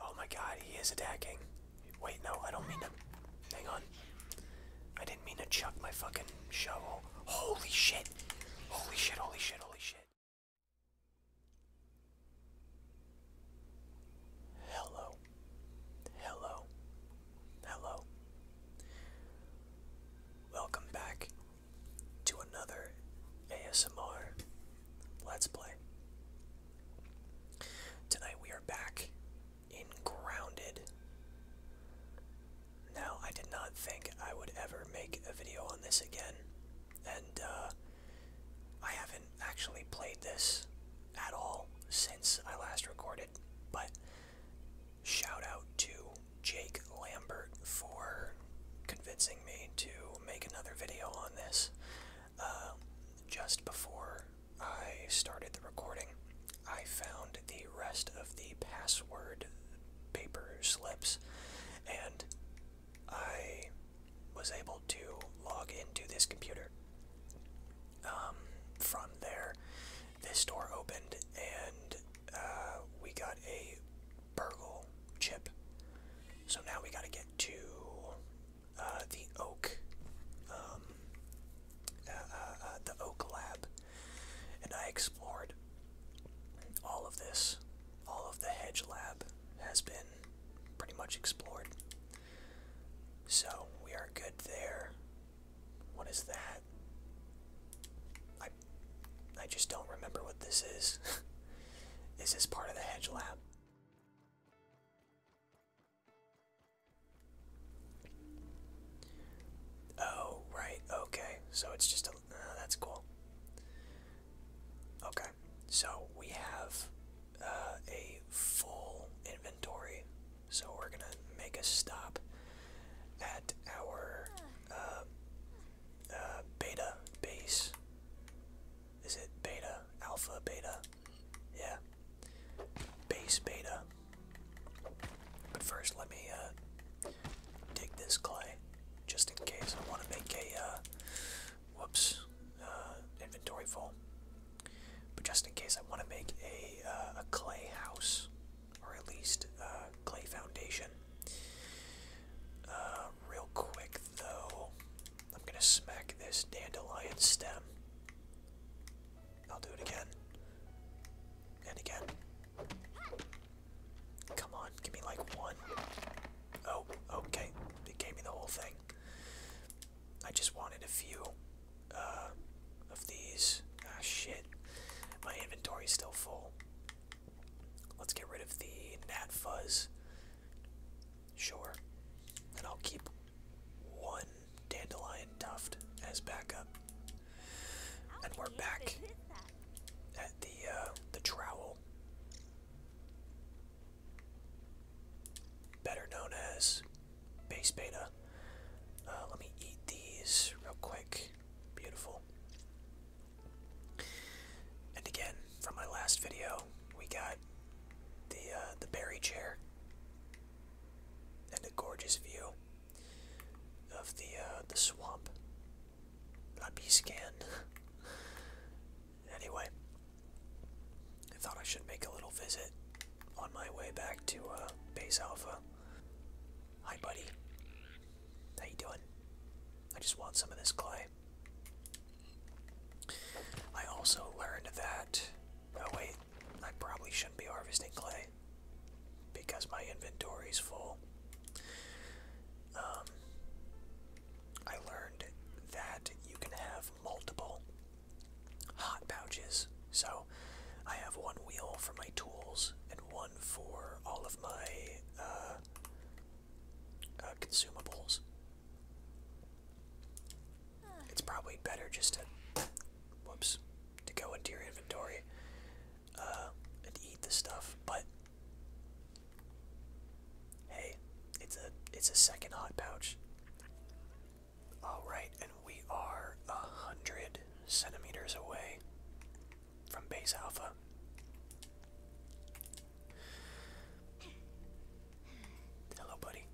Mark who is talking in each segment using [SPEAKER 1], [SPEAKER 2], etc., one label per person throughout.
[SPEAKER 1] Oh my god, he is attacking. Wait, no, I don't mean to. Hang on. I didn't mean to chuck my fucking shovel. Holy shit! Holy shit, holy shit, holy shit. Hello. Hello. Hello. Welcome back to another ASMR Let's play. Tonight we are back in Grounded. Now, I did not think I would ever make a video on this again, and uh, I haven't actually played this at all since I last recorded, but shout out to Jake Lambert for convincing me to make another video on this. Um, just before I started the recording, I found the rest of the password paper slips, and I was able to log into this computer. Um, from there, this door opened, and uh, we got a burglar chip. So now we gotta get to uh, the Oak, um, uh, uh, the Oak Lab, and I explored all of this. All of the Hedge Lab has been pretty much explored. So we are good there. What is that? I I just don't remember what this is. is this part of the hedge lab? Oh, right, okay. So it's just a. Uh, that's cool. Okay, so we have uh, a full inventory. So we're gonna make a stop at our uh, beta base. Is it beta? Alpha, beta? Yeah. Base beta. But first, let me uh, dig this clay, just in case I want to make a uh, whoops uh, inventory full. But just in case I want to make a a clay house, or at least a clay foundation. real quick though, I'm gonna smack this dandelion stem. I'll do it again. And again. Come on, give me like one. Oh, okay. It gave me the whole thing. I just wanted a few uh, of these. Ah, shit. My inventory's still full. Let's get rid of the gnat fuzz. Sure. And I'll keep one dandelion tuft as backup. And we're back at the uh, the trowel. Better known as base beta. Uh, let me eat these real quick. Beautiful. And again, from my last video, we got the uh, the berry chair and a gorgeous view of the uh, the swamp. be scanned. anyway, I thought I should make a little visit on my way back to uh, Base Alpha. Hi, buddy. How you doing? I just want some of this clay. I also learned that. Oh, wait, I probably shouldn't be harvesting clay because my inventory is full. Um, I learned that you can have multiple hot pouches. So I have one wheel for my tools and one for all of my
[SPEAKER 2] uh, uh, consumables
[SPEAKER 1] it's probably better just to, whoops, to go into your inventory uh, and eat the stuff. But hey, it's a it's a second hot pouch. All right, and we are a hundred centimeters away from base alpha. Hello, buddy.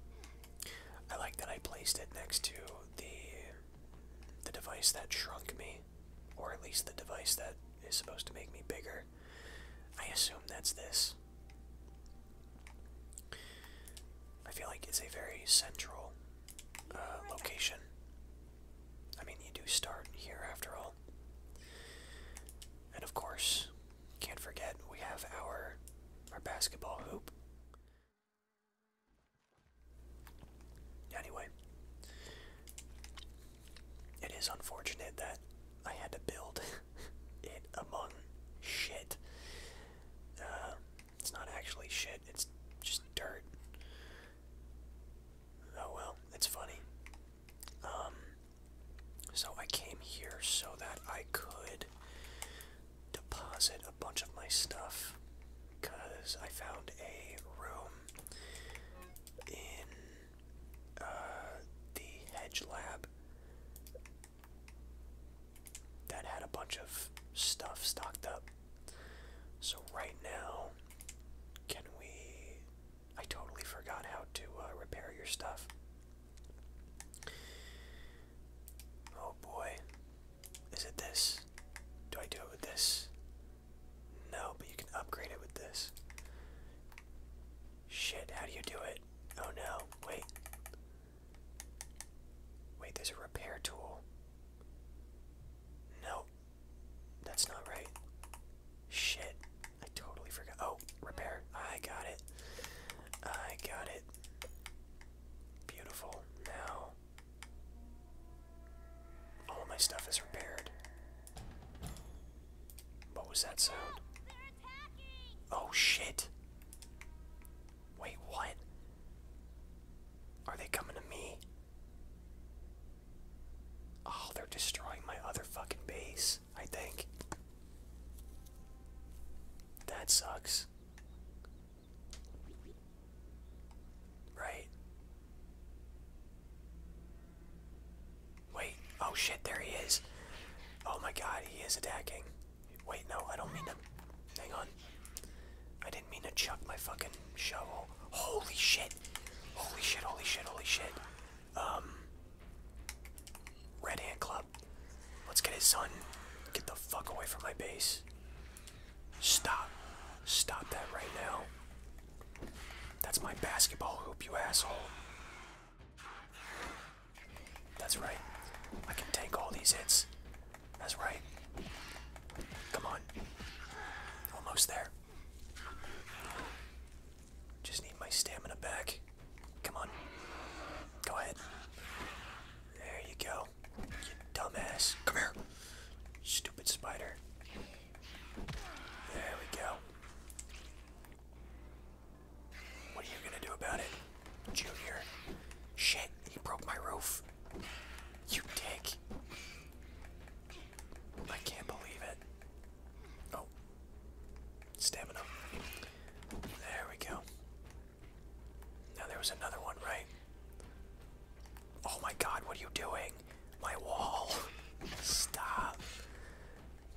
[SPEAKER 1] I like that I placed it next to the the device that shrunk me, or at least the device that is supposed to make me bigger. I assume that's this. I feel like it's a very central uh, location. I mean, you do start here after all. And of course, can't forget we have our our basketball hoop. Anyway, it is unfortunate that I had to build it among shit. Uh, it's not actually shit, it's just dirt. Oh well, it's funny. Um, so I came here so that I could deposit a bunch of my stuff because I found a room in uh, the hedge lab that had a bunch of stuff stocked up. So right now, can we? I totally forgot how to uh, repair your stuff. Oh boy. Is it this? Do I do it with this? No, but you can upgrade it with this. Shit, how do you do it? Oh no, wait. Wait, there's a repair tool. No, that's not right. Shit, I totally forgot. Oh, Oh, repair. I got it. I got it. Beautiful. Now, all my stuff is repaired. What was that sound? Oh shit. Wait, what? Are they coming to me? Oh, they're destroying my other fucking base. I think. That sucks. Right. Wait, oh shit, there he is. Oh my god, he is attacking. Wait, no, I don't mean to. Hang on. I didn't mean to chuck my fucking shovel. Holy shit! Holy shit, holy shit, holy shit. Um. Red Hand Club. Let's get his son. Get the fuck away from my base. Stop. Stop that right now. That's my basketball hoop, you asshole. That's right. I can take all these hits. That's right. Come on. Almost there. Just need my stamina back. Come on. Go ahead. There you go. You dumbass. Come here. Stupid spider. There we go. What are you gonna do about it, Junior? Shit, he broke my roof. You dick. I can't believe it. Oh. Stamina. There we go. Now there was another one, right? Oh my god, what are you doing? My wall. Stop.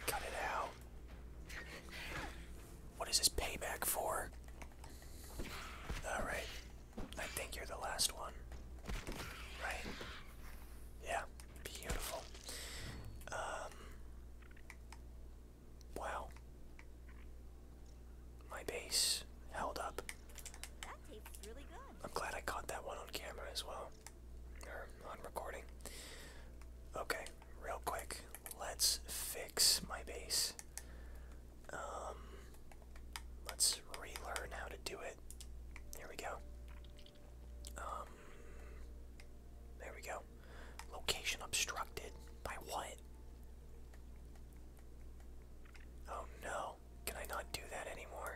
[SPEAKER 1] Cut it out. What is this payback for? Alright. I think you're the last one. Right? Yeah. Beautiful. Um. Wow. My base held up. I'm glad I caught that one on camera as well. Or on recording. Okay, real quick, let's fix my base. Um let's relearn how to do it. Here we go. Um there we go. Location obstructed. By what? Oh no. Can I not do that anymore?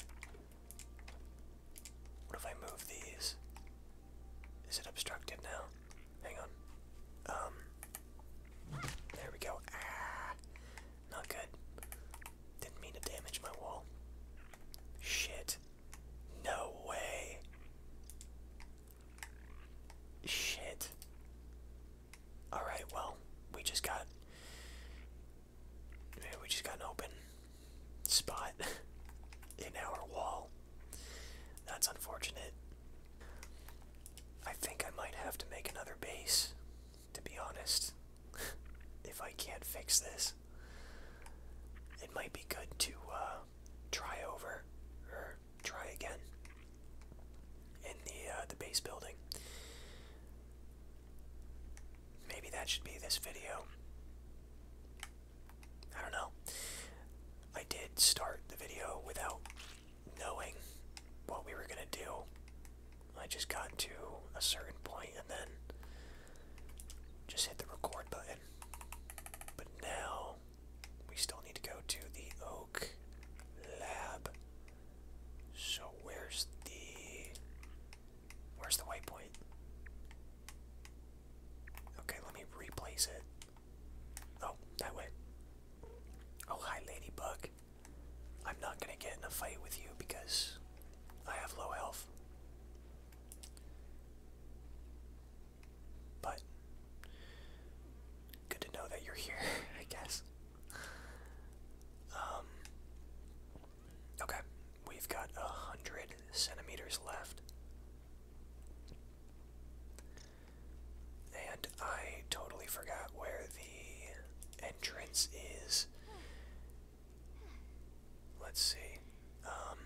[SPEAKER 1] What if I move these? Is it obstructed now? Hang on. Um. There we go. Ah. Not good. Didn't mean to damage my wall. Shit. No way. Shit. Alright, well, we just got. We just got an open spot in our wall. That's unfortunate. I think I might have to make another base, to be honest. if I can't fix this, it might be good to uh, try over or try again in the uh, the base building. Maybe that should be this video. I don't know. I did start the video without knowing what we were gonna do. I just got to a certain point and then just hit the record button. But now we still need to go to the Oak Lab. So where's the where's the waypoint? Okay, let me replace it. Oh, that way. Oh hi ladybug. I'm not gonna get in a fight with you because I have low health. But good to know that you're here, I guess. Um, okay, we've got a hundred centimeters left. And I totally forgot where the entrance is. Let's see. Um,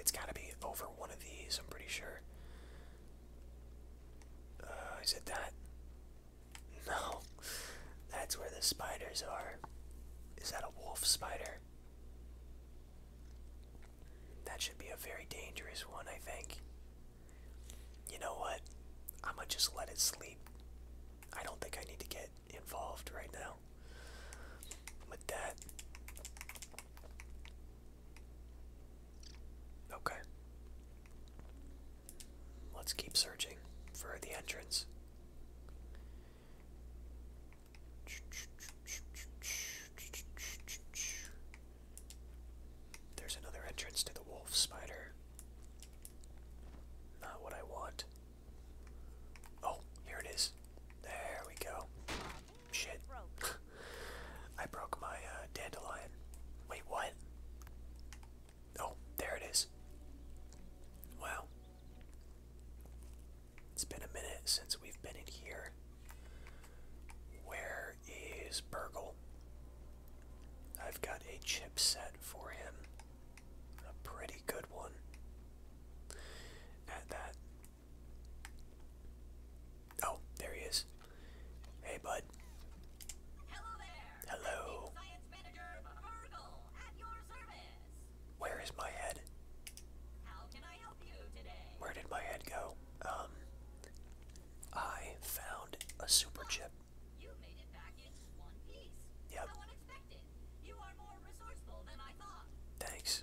[SPEAKER 1] it's got to be over one of these, I'm pretty sure. Uh, is it that? No. That's where the spiders are. Is that a wolf spider? That should be a very dangerous one, I think. You know what? I'm gonna just let it sleep. I don't think I need to get involved right now. With that, Okay. Let's keep searching for the entrance. There's another entrance to the wolf spider. Not what I want. Oh, here it is. There we go. Shit. I broke my uh, dandelion. Wait, what? Oh, there it is. Wow. It's been a minute since we've been in here. Where is Burgle? I've got a chipset for him. A pretty good one. At that. Oh, there he is. Hey, bud. Hello there. Hello. Where is my head? How can I help you today? Where did my head go? Um, I found a super chip. You made it back in one piece. Yep. How
[SPEAKER 3] unexpected. You are more
[SPEAKER 1] resourceful
[SPEAKER 3] than I thought. Thanks.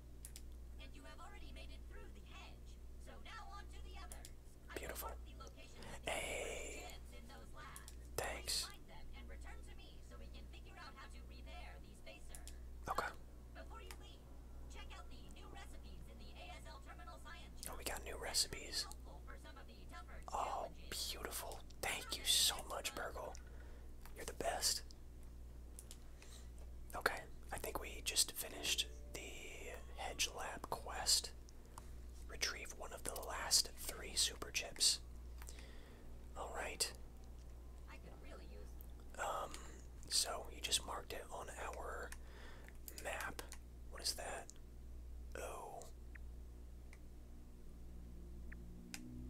[SPEAKER 3] And you have already made it through the hedge. So now on to the others. Beautiful. hey. Thanks. Okay. Oh, we got
[SPEAKER 1] new recipes. Oh, beautiful. Thank you so much, Burgle. You're the best. Okay, I think we just finished the Hedge Lab quest. Retrieve one of the last three super chips. Alright. Um, so you just marked it on our map. What is that? Oh.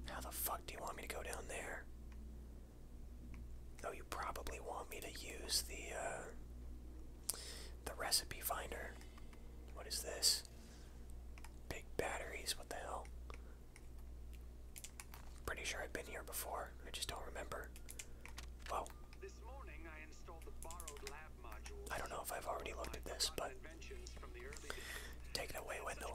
[SPEAKER 1] How the fuck do you want me to go down there? Oh, you probably want me to use the uh, the recipe finder. What is this? Big batteries. What the hell? Pretty sure I've been here before. I just don't remember. Whoa. This morning I installed the borrowed lab module. I don't know if I've already looked at this, but take it away, Wendell.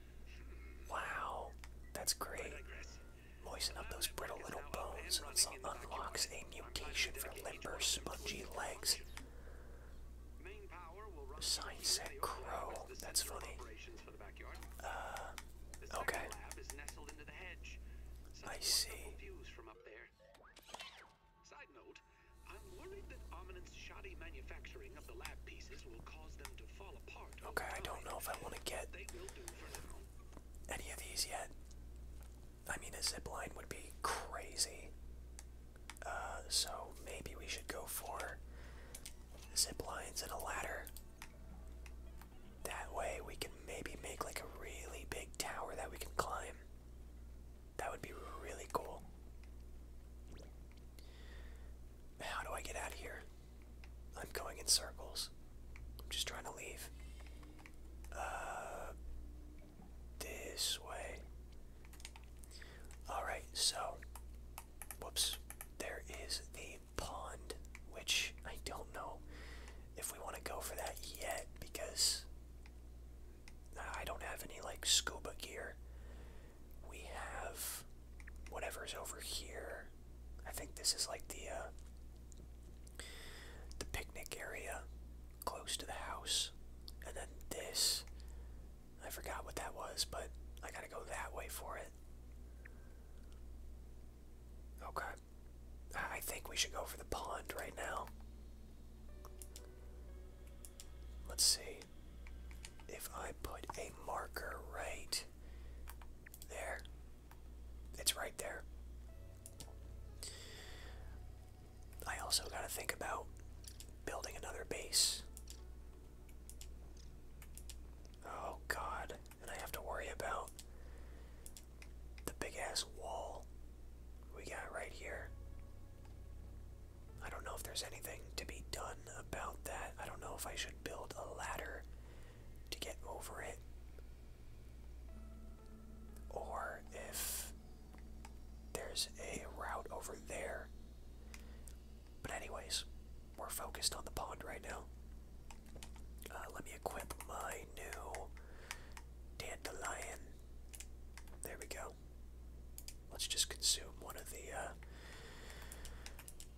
[SPEAKER 1] Wow, that's great. Moisten up those brittle little bones and it unlocks a mutation for limber, spongy legs. Sign crow. That's funny. Uh, okay. I see. Side note, I'm worried that Ominent's shoddy manufacturing of the lab pieces will cause them to fall Okay, I don't know if I want to get any of these yet. I mean, a zip line would be crazy. Uh, so maybe we should go for zip lines and a ladder. That way we can maybe make like a really big tower that we can climb. That would be really cool. How do I get out of here? I'm going in circles. I'm just trying to leave. Uh, this way. Alright, so. Whoops. There is the pond, which I don't know if we want to go for that yet because I don't have any, like, scuba gear. We have whatever's over here. I think this is like the uh, the picnic area close to the house, and then this. I forgot what that was, but I gotta go that way for it. Okay. I think we should go for the pond right now. Let's see. If I put a marker right there. It's right there. I also got to think about building another base. Oh god, and I have to worry about the big ass wall we got right here. I don't know if there's anything to be done about that. I don't know if I should build a ladder to get over it. Or if there's a route over there. But, anyways, we're focused on the pond right now. Uh, let me equip my new dandelion. There we go. Let's just consume one of the uh,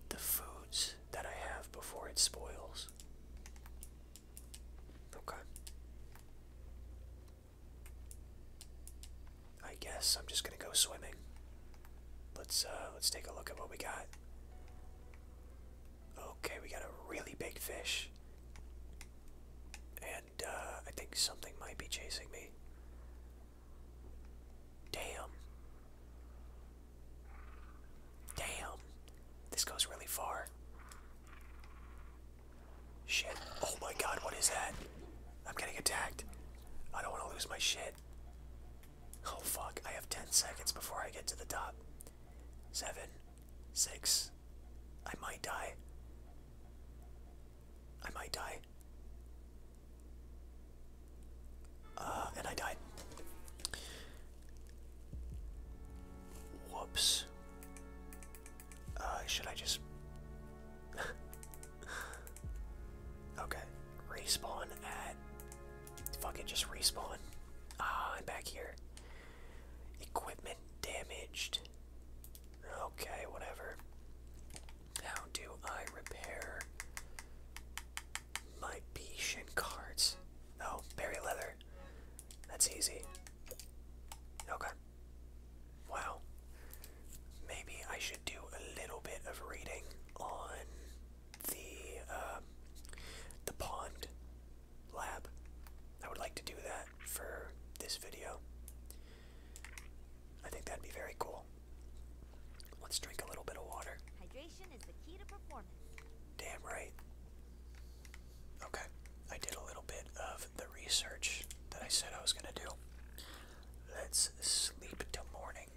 [SPEAKER 1] the foods that I have before it spoils. Okay. I guess I'm just gonna go swimming. Let's uh let's take a look at what we got. Okay, we got a really big fish. And uh I think something might be chasing me. Damn. Damn. This goes really far. Shit. Oh my god, what is that? I'm getting attacked. I don't want to lose my shit. Oh fuck, I have 10 seconds before I get to the top. 7, 6. I might die. I might die. Uh, and I died. Whoops. Uh, should I just. okay. Respawn at. Fucking just respawn. Ah, I'm back here. Equipment damaged. Okay, whatever. How do I repair Libation cards. Oh, berry leather. That's easy. Okay. Wow. Maybe I should do a little bit of reading on the um, the pond lab. I would like to do that for this video. I think that'd be very cool. Let's drink a little bit of water. Damn right. Okay, I did a little bit of the research that I said I was going to do. Let's sleep till morning.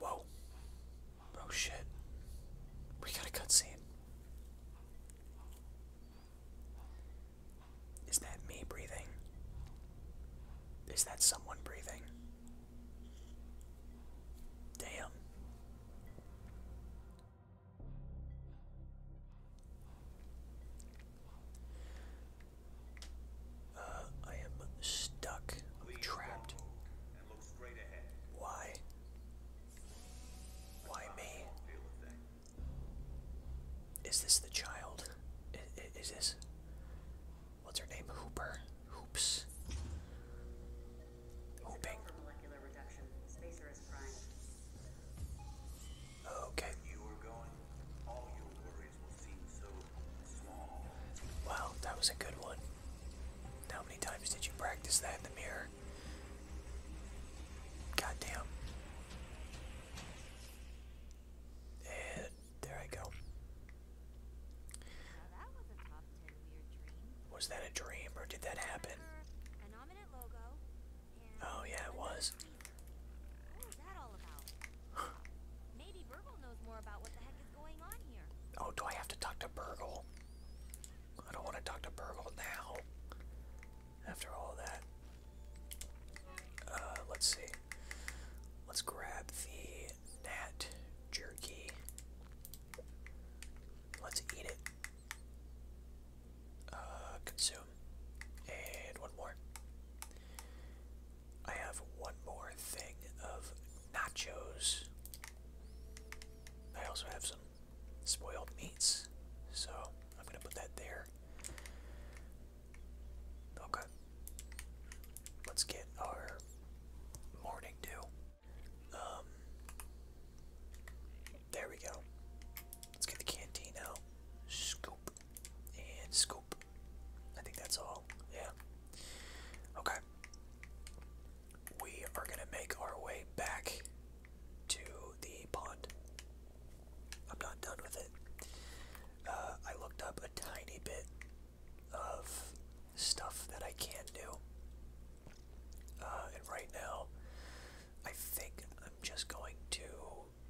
[SPEAKER 1] Whoa. Oh shit. We got a cutscene. Is that me breathing? Is that someone breathing? Damn. Uh, I am stuck. I'm trapped. Why? Why me? Is this the child? is this? what's her name? Hooper. Hoops. Hooping. Okay. Wow, that was a good one. How many times did you practice that in the mirror? Goddamn. And there I go. was that a dream or did that happen? Oh yeah, it was.
[SPEAKER 3] Maybe Burgle knows more about what the heck is going on here.
[SPEAKER 1] Oh, do I have to talk to Burgle? I don't want to talk to Burgle now. After all that. Uh, let's see. Let's grab the that jerky. Let's eat it. Uh, consume. And one more. I have one more thing of nachos. I also have some spoiled meats, so I'm gonna put that there. Okay. Let's get our morning dew. Um, there we go. Let's get the canteen out. Scoop and scoop. I think that's all. Yeah. Okay. We are gonna make our way back to the pond. I'm not done with it. Uh, I looked up a tiny bit of stuff that I can do. Uh, and right now, I think I'm just going to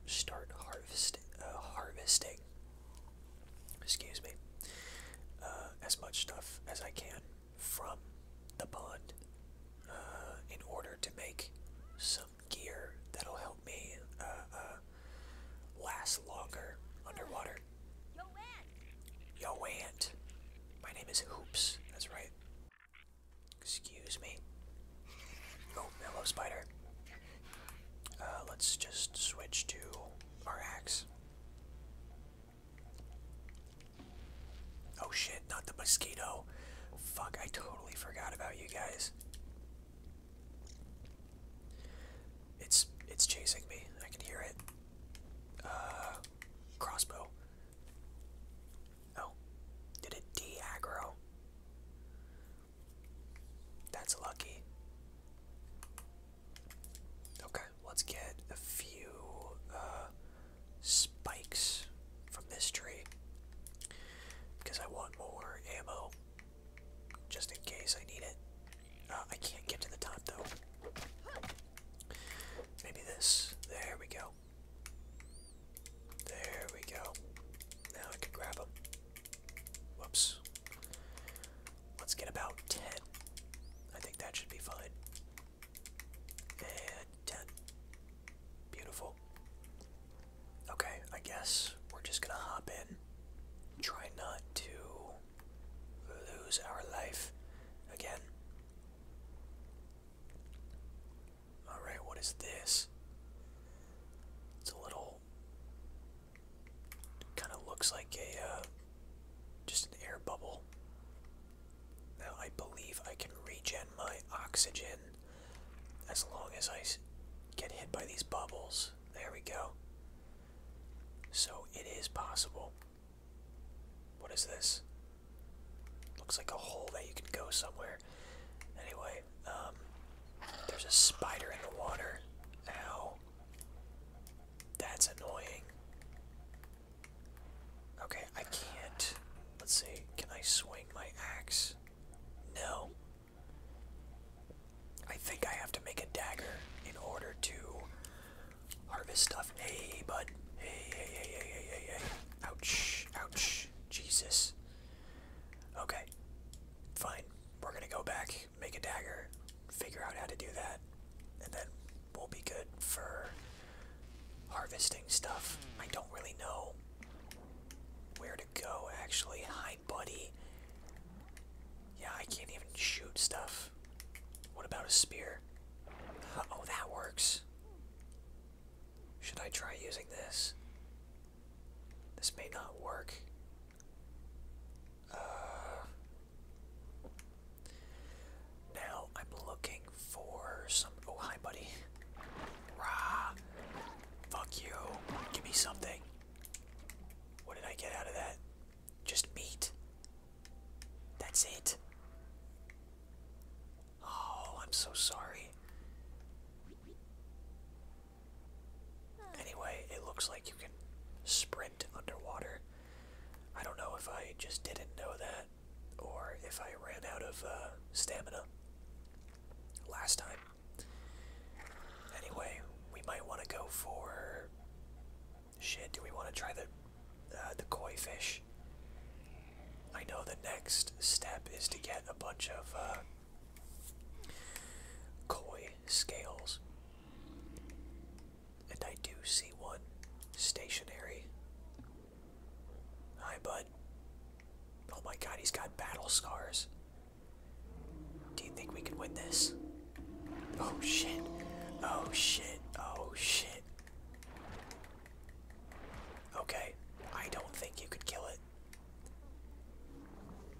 [SPEAKER 1] start uh, harvesting. Excuse me. Uh, as much stuff as I can from the pond in order to make some gear that'll help me uh, last longer underwater. Yo Ant! Yo Ant! My name is Hoops, that's right. Excuse me. Oh, hello spider. Uh, let's just switch to our axe. Oh shit, not the mosquito. Fuck, I totally forgot about you guys. It's it's chasing me. I can hear it. Uh, crossbow. Oh, did it aggro That's lucky. Okay, let's get a few uh, spikes from this tree because I want more ammo just in case I need it. Uh, I can't get to the top though. Maybe this. There we go. There we go. Now I can grab them. Whoops. Let's get about 10. I think that should be fine. And Beautiful. Okay, I guess we're just gonna hop in. Try not to lose our life again. Alright, what is this? It's a little. Kind of looks like a. Uh, just an air bubble. Now, I believe I can regen my oxygen as long as I get hit by these bubbles. There we go. So it is possible. What is this? Looks like a hole that you can go somewhere. Anyway, um, there's a spider in the water. Ow. That's annoying. Okay, I can't. Let's see. Can I swing my axe? No. I think I have to make a dagger in order to harvest stuff. Hey, bud. Hey, hey, hey, hey, hey, hey, hey. Ouch. Ouch. Jesus. Okay. Fine. We're gonna go back, make a dagger, figure out how to do that, and then we'll be good for harvesting stuff. I don't really know where to go, actually. Hi, buddy. Yeah, I can't even shoot stuff. What about a spear? Uh, oh, that works. Should I try using this? This may not work. Uh, now I'm looking for some. Oh, hi, buddy. Rah! Fuck you. Give me something. What did I get out of that? Just beat. That's it. Oh, I'm so sorry. Anyway, it looks like you can sprint underwater. I don't know if I just didn't know that or if I ran out of uh, stamina last time. Anyway, we might want to go for Shit, do we want to try the uh, the koi fish? I know the next step is to get a bunch of uh, koi scales, and I do see one stationary. Hi, bud. Oh my God, he's got battle scars. Do you think we can win this? Oh shit. Oh shit. Oh shit. Okay. I don't think you could kill it.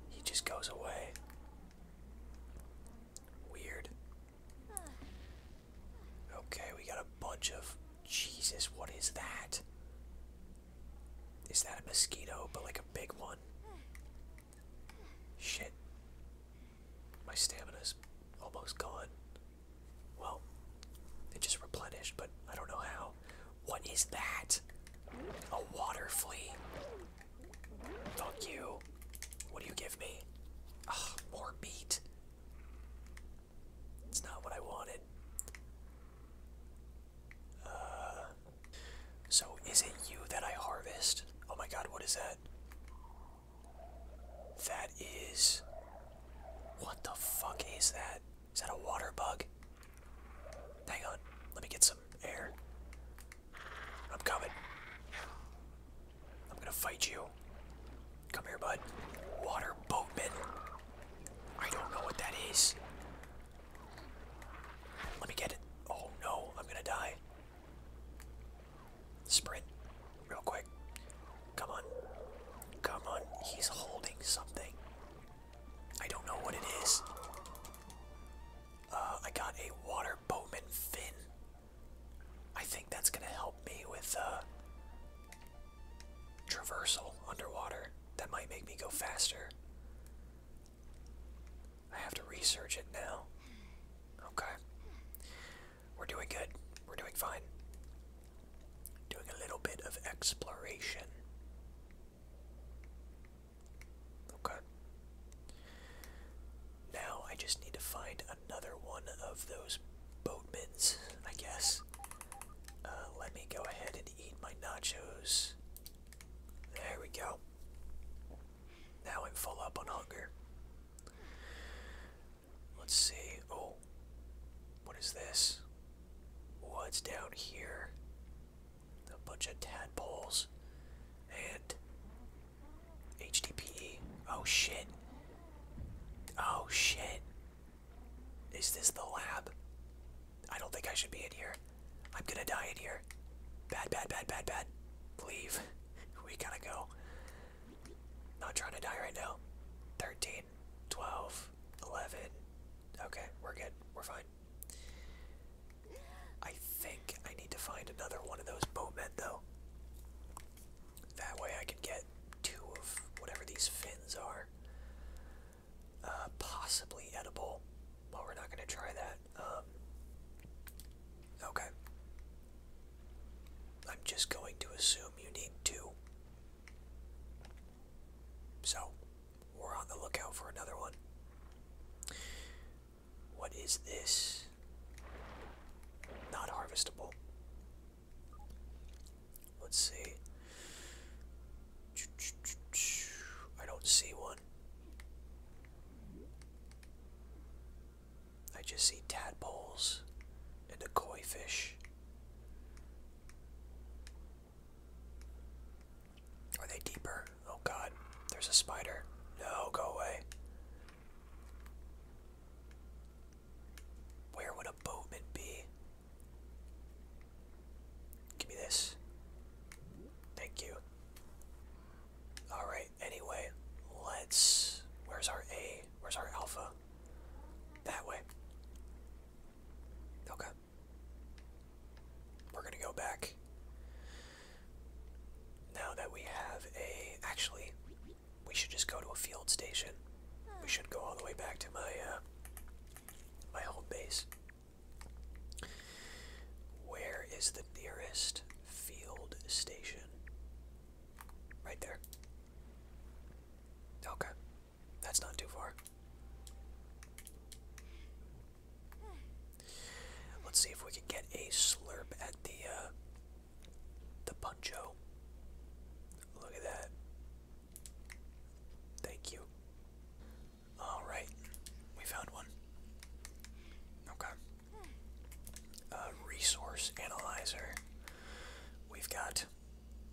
[SPEAKER 1] He just goes away. Weird. Okay, we got a bunch of. Jesus, what is that? Is that a mosquito, but like a big one? Shit. My stamina's almost gone. Well, it just replenished, but I don't know how. What is that? A water flea. Fuck you. What do you give me? more meat. It's not what I wanted. Uh, so, is it you that I harvest? Oh my god, what is that? That is. What the fuck is that? Is that a water bug? Hang on. Let me get some air. I'm coming. I'm gonna fight you. Come here, bud. Water boatman. I don't know what that is. Let me get it. Oh no, I'm gonna die. Sprint, real quick. Come on. Come on. He's holding something. I don't know what it is. Uh, I got a water bowman fin. I think that's gonna help me with uh, traversal underwater. That might make me go faster. I have to research it now. Okay. We're doing good. We're doing fine. Doing a little bit of exploration. Okay. Now I just need to find another one of those boatmans, I guess. Uh, let me go ahead and eat my nachos. There we go. Now I'm full up on hunger. Let's see. Oh, what is this? What's down here? A bunch of tadpoles and HDPE. Oh shit. Oh shit. Is this the lab? I don't think I should be in here. I'm gonna die in here. Bad, bad, bad, bad, bad. Leave we gotta go. Not trying to die right now. 13, 12, 11. Okay, we're good. We're fine. I think I need to find another one of those boatmen, though. That way I can get two of whatever these fins are. Uh, possibly edible. but we're not going to try that. Um, okay. I'm just going to assume you need two. So, we're on the lookout for another one. What is this? Not harvestable. Let's see. I don't see one. I just see tadpoles and a koi fish. Are they deeper? Oh god, there's a spider. No, go away. Where would a boatman be? Give me this. Thank you. Alright, anyway, let's... Where's our A? Where's our alpha? That way. Okay. We're gonna go back. Now that we have a... Actually, we should just go to a field station. We should go all the way back to my, uh, My home base. Where is the nearest field station? Right there. Okay. That's not too far. Let's see if we can get a slurp at the uh, the puncho. Look at that. Thank you. Alright. We found one. Okay resource analyzer. We've got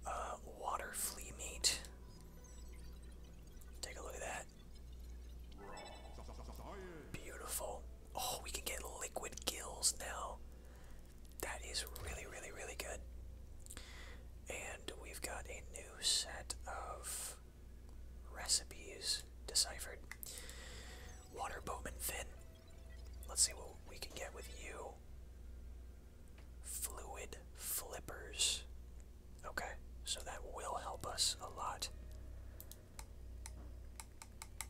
[SPEAKER 1] uh, water flea meat. Take a look at that. Beautiful. Oh, we can get liquid gills now. That is really, really, really good. And we've got a new set of recipes deciphered. Water Bowman fin. Let's see what we can get with you. Fluid flippers. Okay, so that will help us a lot.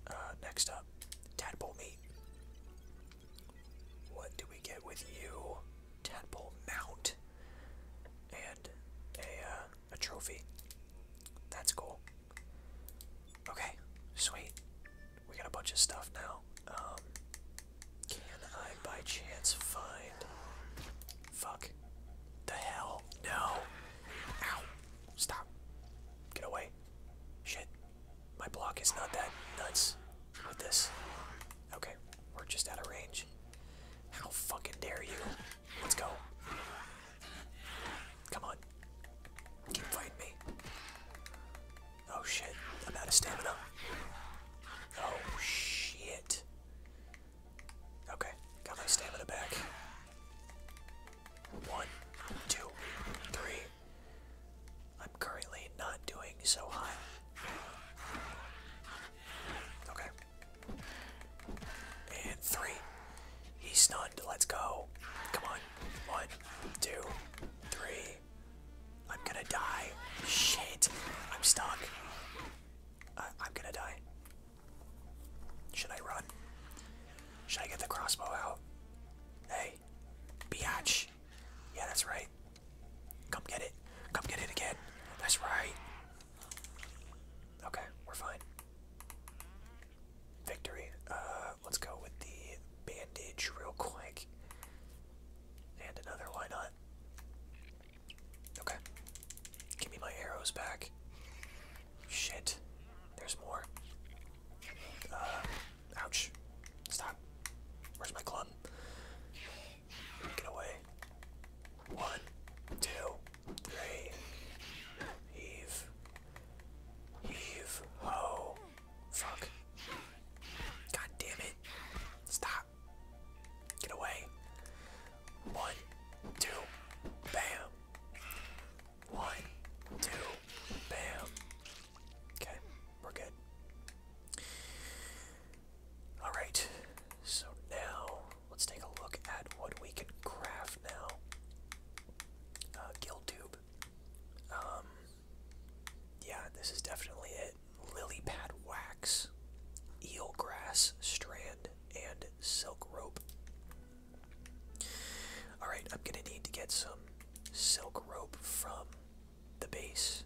[SPEAKER 1] Uh, next up, tadpole meat. What do we get with you? Tadpole mount and a uh, a trophy. That's cool. Okay, sweet. We got a bunch of stuff now. Um, can I by chance find. Fuck. The hell? No. Ow. Stop. Get away. Shit. My block is not that nuts with this. Okay, we're just out of range. How fucking dare you? Let's go. Come on. Keep fighting me. Oh shit. I'm out of stamina. Oh shit. Okay. Got my stamina back. One, two, three. I'm currently not doing so high. Okay. And three. He's stunned. Let's go. Come on. One, two, three. I'm gonna die. Shit. I'm stuck. I'm gonna die. Should I run? Should I get the crossbow out? Hey. Biatch. Yeah, that's right. Come get it. Come get it again. That's right. Okay, we're fine victory. Uh, let's go with the bandage real quick. And another, why not? Okay. Give me my arrows back. Shit. There's more. Uh, ouch. Stop. Where's my club? Get away. One, two, three. Heave. Heave ho. Fuck. God damn it. Stop. Get away. One, two, bam. One, two, bam. Okay, we're good. Alright, so now let's take a look at what we can craft now. Uh, Guild Tube. Um, yeah, this is definitely it. Lily pad wax, eel grass strand, and silk rope. Alright, I'm gonna need to get some silk rope from the base.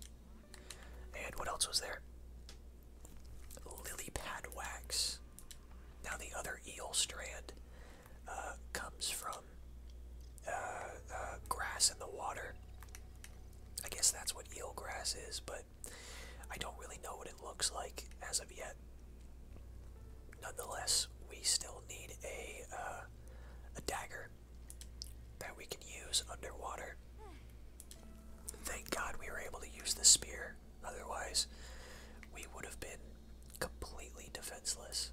[SPEAKER 1] And what else was there? Lily pad wax. Now the other eel strand. Uh, comes from uh, uh, grass and the water. I guess that's what eel grass is, but I don't really know what it looks like as of yet. Nonetheless, we still need a a dagger that we can use underwater. Thank God we were able to use the spear. Otherwise, we would have been completely defenseless.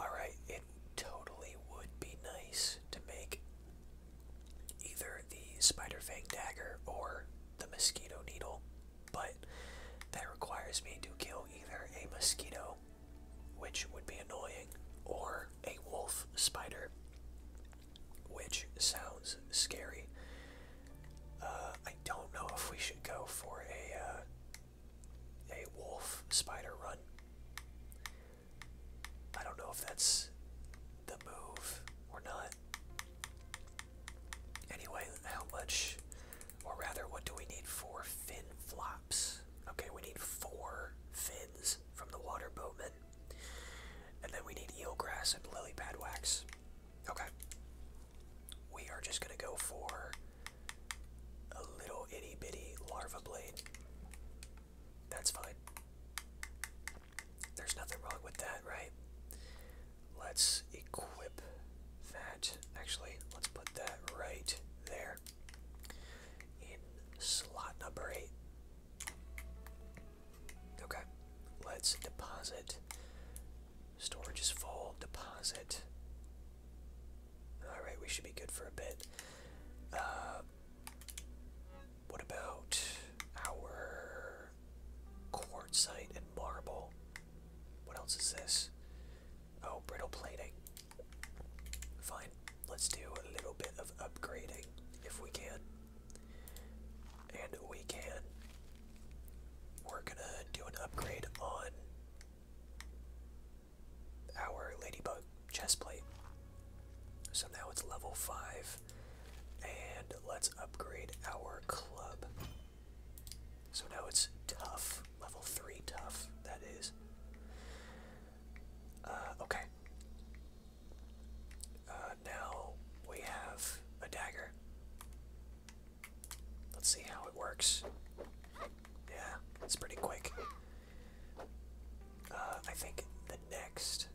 [SPEAKER 1] Alright, it totally would be nice to make either the spider fang dagger or the mosquito needle, but that requires me to kill either a mosquito, which would be annoying, or a wolf spider, which sounds scary. Uh, I don't know if we should go for a uh, a wolf spider run. I don't know if that's the move or not. Anyway, how much, or rather, what do we need for fin flops? Okay, we need four fins from the water boatman. And then we need eelgrass and lily pad wax. Okay. We are just going to go for a little itty bitty larva blade. That's fine. There's nothing wrong with that, right? Let's equip that. Actually, let's put that right there in slot number 8. Okay, let's deposit Storage is full. Deposit. Alright, we should be good for a bit. Uh, what about our quartzite and marble? What else is this? Oh, brittle plating. Fine. Let's do a little bit of upgrading if we can. And we can. We're gonna do an upgrade on our ladybug chest So now it's level 5, and let's upgrade our club. So now it's tough, level 3 tough, that is. Uh, okay. Uh, now we have a dagger. Let's see how it works. Yeah, it's pretty quick. Uh, I think the next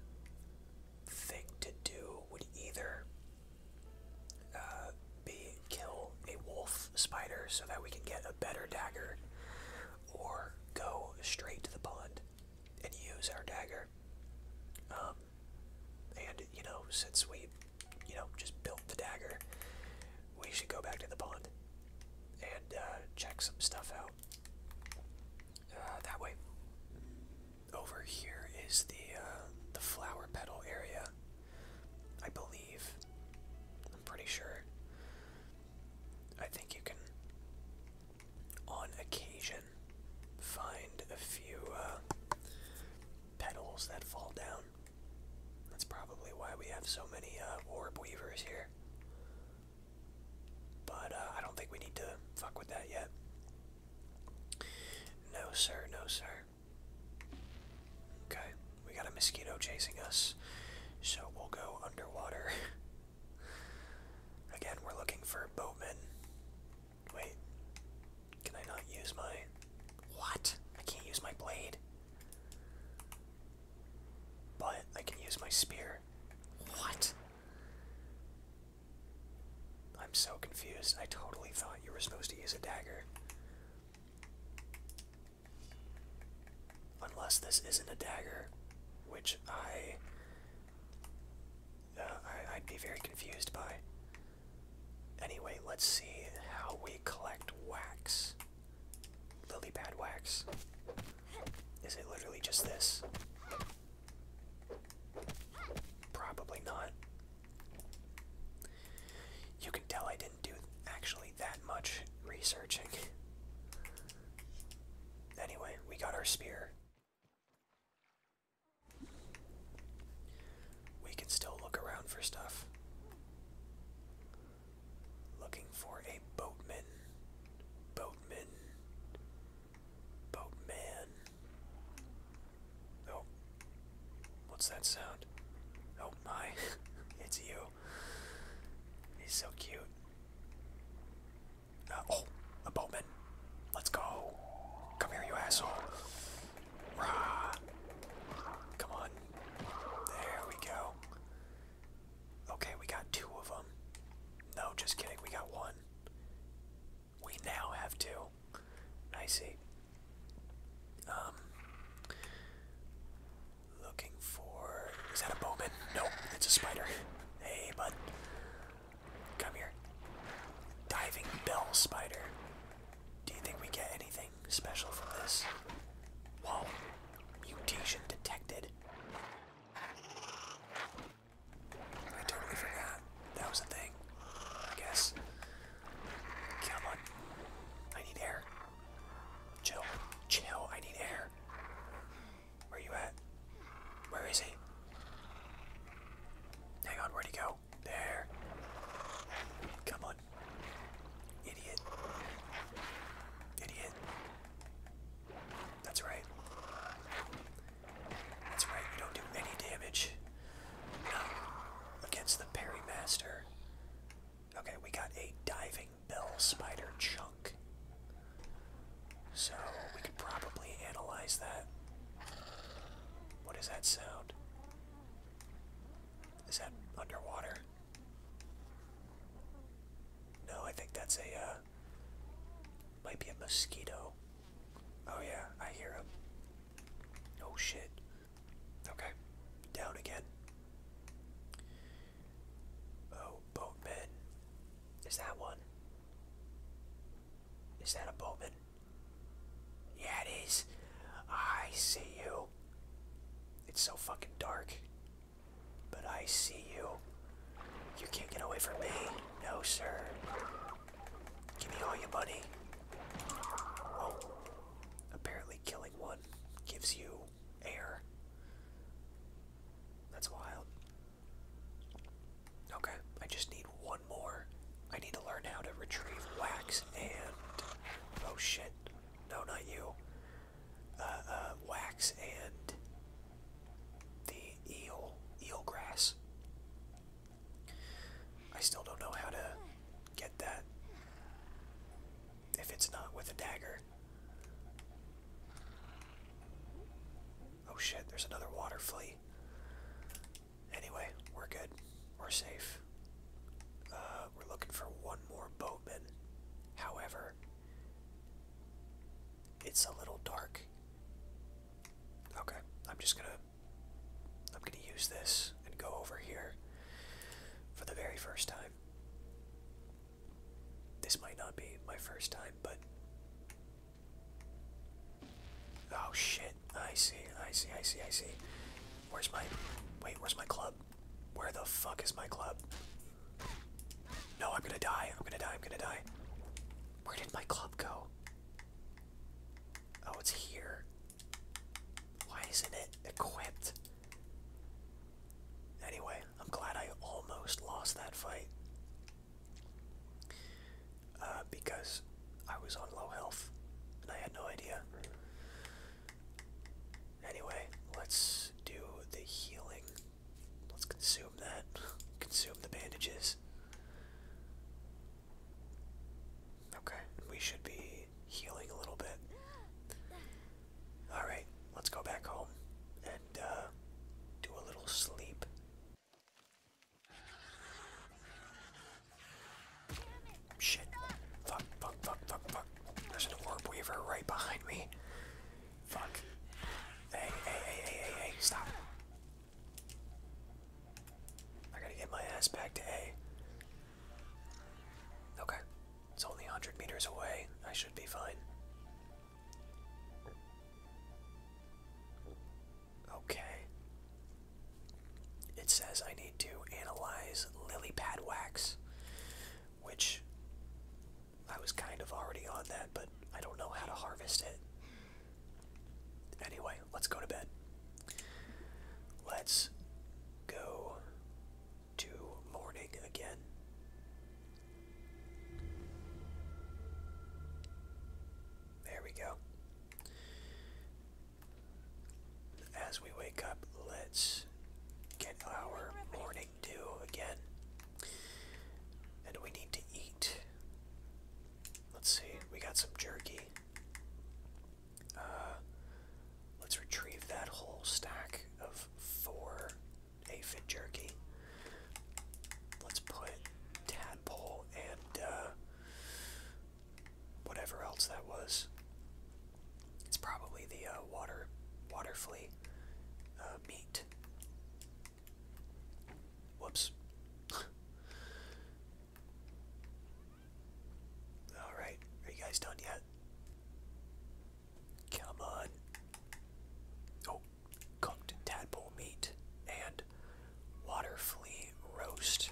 [SPEAKER 1] thing to do would either uh, be kill a wolf spider so that we can get a better dagger, or go straight to the pond and use our dagger. Um, and you know, since we you know, just built the dagger, we should go back to the pond and uh, check some stuff out. Uh, that way. Over here is the uh, the flower petal area. I believe. I'm pretty sure. I think you can, on occasion, find a few petals that fall down. That's probably why we have so many orb uh, weavers here. But uh, I don't think we need to fuck with that yet. No, sir, no, sir. Okay, we got a mosquito chasing us, so we'll go underwater. Again, we're looking for boatmen. Wait, can I not use my. What? I can't use my blade. But I can use my spear. What? I'm so confused. I totally thought you were supposed to use a dagger. Unless this isn't a dagger, which I, uh, I'd be very confused by. Anyway, let's see how we collect wax lily pad wax? Is it literally just this? Probably not. You can tell I didn't do actually that much researching. Anyway, we got our spear. We can still look around for stuff. Looking for a boatman. Boatman. Boatman. Oh. What's that sound? Oh my. it's you. He's so cute. Uh, oh, a boatman. Let's go. Come here, you asshole. Rah. Come on. There we go. Okay, we got two of them. No, just kidding, we got one. We now have two. I see. Um, looking for. Is that a bowman? Nope, it's a spider. Hey, bud. Come here. Diving bell spider. Do you think we get anything? special for this. Whoa, mutation detected. I totally forgot that was a thing, I guess. Come on. I need air. Chill. Chill, I need air. Where are you at? Where is he? Hang on, where'd he go? There. Come on. Idiot. Idiot. That's right. That's right, We don't do any damage. No. Against the Parry Master. Okay, we got a Diving Bell Spider Chunk. So, we could probably analyze that. What does that sound? Is that underwater? No, I think that's a, uh, might be a mosquito. Oh yeah, I hear him. Oh shit. Okay, down again. Oh, boatman. Is that one? Is that a boatman? Yeah, it is. I see you. It's so fucking dark. But I see you. You can't get away from me. No, sir. Give me all your money. Apparently, killing one gives you air. That's wild. Okay, I just need one more. I need to learn how to retrieve wax and. Oh shit. No, not you. Uh, uh, wax and the eel eel grass. I still don't know how to get that if it's not with a dagger. Oh shit, there's another water flea. Anyway, we're good. We're safe. Uh, uh, we're looking for one more boatman. However, it's a little dark. Okay, I'm just gonna I'm gonna use this and go over here for the very first time. This might not be my first time, but oh shit! I see, I see, I see, I see. Where's my wait? Where's my club? Where the fuck is my club? No, I'm gonna die. I'm gonna die. I'm gonna die. Where did my club go? Oh, it's here. Why isn't it equipped? Anyway, I'm glad I almost lost that fight. Uh, because I was on low health and I had no idea. Anyway, let's do the healing. Let's consume that. Consume the bandages. Okay, we should be healing a little bit. Alright, let's go back home and uh, do a little sleep. Shit. Fuck, fuck, fuck, fuck, fuck. There's an orb weaver right behind me. Fuck. Hey, hey, hey, hey, hey, stop. I gotta get my ass back to A. Okay. It's only 100 meters away. I should be fine. Okay. It says I need to analyze lily pad wax which I was kind of already on that, but I don't know how to harvest it. Anyway, let's go to bed. Let's go to morning again. There we go. As we wake up, let's get our morning do again. And we need to eat. Let's see, we got some jerky. Uh, let's retrieve that whole stack of four aphid jerky. Let's put tadpole and uh, whatever else that was it's probably the uh, water water flea uh, meat. Whoops. Alright, are you guys done yet? Come on. Oh, cooked tadpole meat and water flea roast.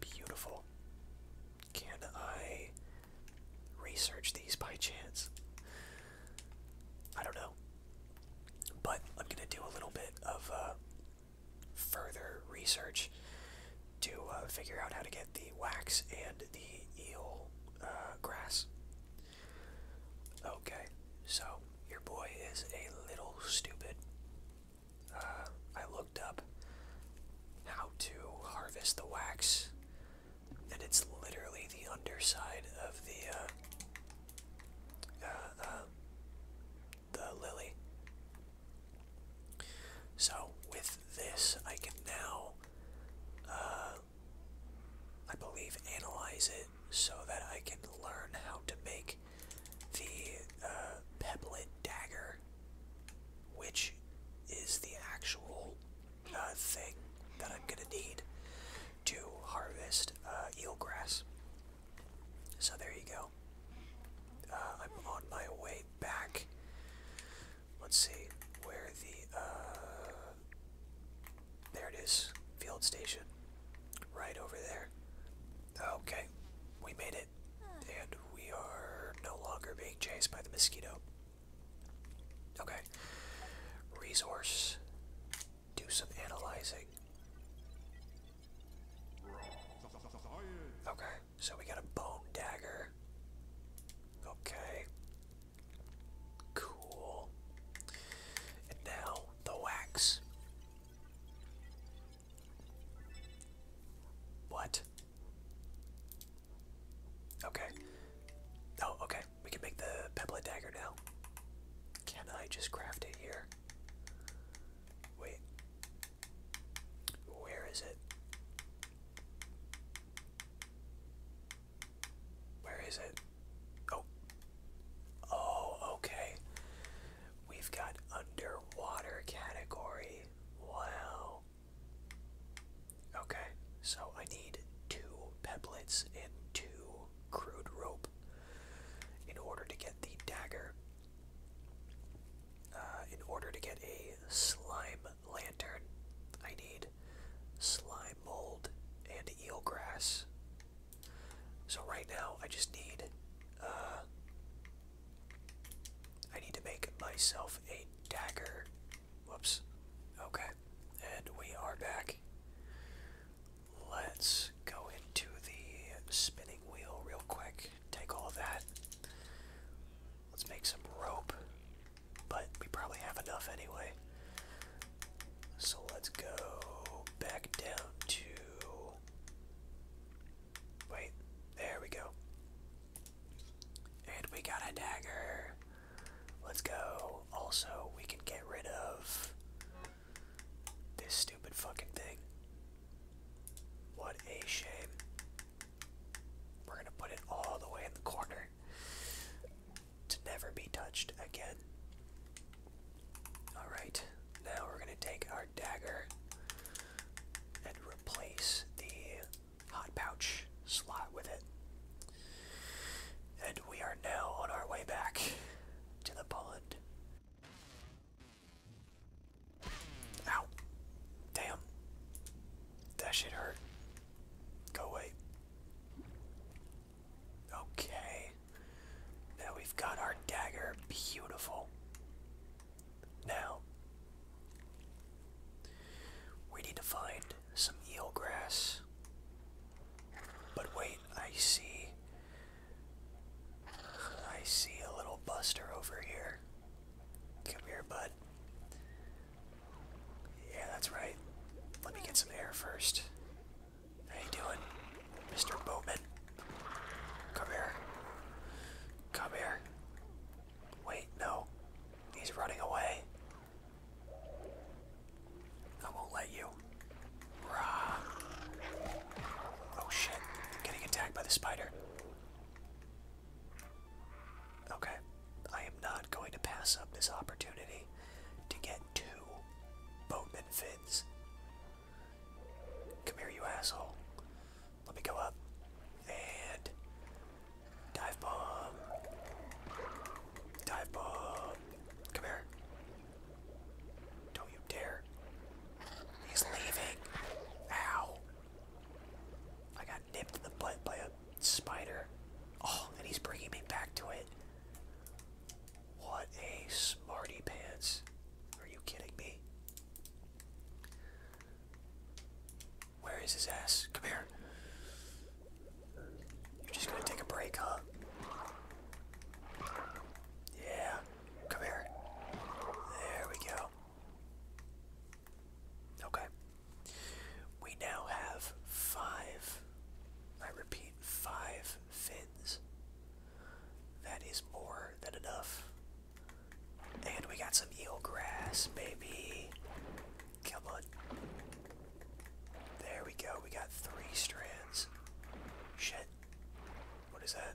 [SPEAKER 1] Beautiful. Can I research these by chance. I don't know. But I'm going to do a little bit of uh, further research to uh, figure out how to get the wax and the eel uh, grass. Okay, so your boy is a little stupid. I looked up how to harvest the wax and it's literally the underside of the uh, uh, uh, the lily. So with this, I can now, I believe, analyze it so that I can learn how to make the uh, pebblet dagger, which is the actual thing that I'm gonna need to harvest uh, eelgrass. So there you go. Uh, I'm on my way back. Let's see where the uh, there it is, field station, right over there. Okay, we made it, and we are no longer being chased by the mosquito. Okay. Resource. Do some analyzing. Okay, so we got a bone dagger. Okay. Cool. And now the wax. What? Okay. Oh, okay. We can make the pebble dagger now. Can I just craft it here? Wait. Where is it? Where is it? Oh. Oh, okay. We've got underwater category. Wow. Okay, so I need two pebblets and two crude rope in order to get the dagger. Uh, in order to get a slime lantern, I need slime mold and eelgrass. So right now, I just need. Uh, I need to make myself a dagger. Whoops. Okay and we are back. Let's go into the spinning wheel real quick. Take all that. Let's make some rope, but we probably have enough anyway. So let's go back down to. Wait, there we go. And we got a dagger. Let's go. Also, we can get rid of this stupid fucking thing. What a shame. We're gonna put it all the way in the corner to never be touched again. Alright, now we're gonna take our dagger and replace the hot pouch slot with it. And we are now on our way back to the pond. Ow. Damn. That shit hurt. Go away. Okay. Now we've got our dagger. Beautiful. Now, we need to find some eelgrass. But wait, I see. I see a little buster over here. Come here, bud. Yeah, that's right. Let me get some air first. How you doing, Mr. Bowman? Come here. Come here. Wait, no. He's running away. I won't let you. Oh shit. Getting attacked by the spider. Okay. I am not going to pass up this opportunity to get two boatman fins. Come here, you asshole. Let me go up. And Dive bomb. Dive bomb. Come here. Don't you dare. He's leaving. Ow. I got nipped in the butt by a spider. Oh, and he's bringing me back to it. What a smarty pants. Are you kidding me? Where is his ass? Come here. You're just gonna take a break, huh? Yeah. Come here. There we go. Okay. We now have five, I repeat, five fins. That is more than enough. And we got some eel grass, baby. Come on. There we go. We got three strands. Shit. What is that?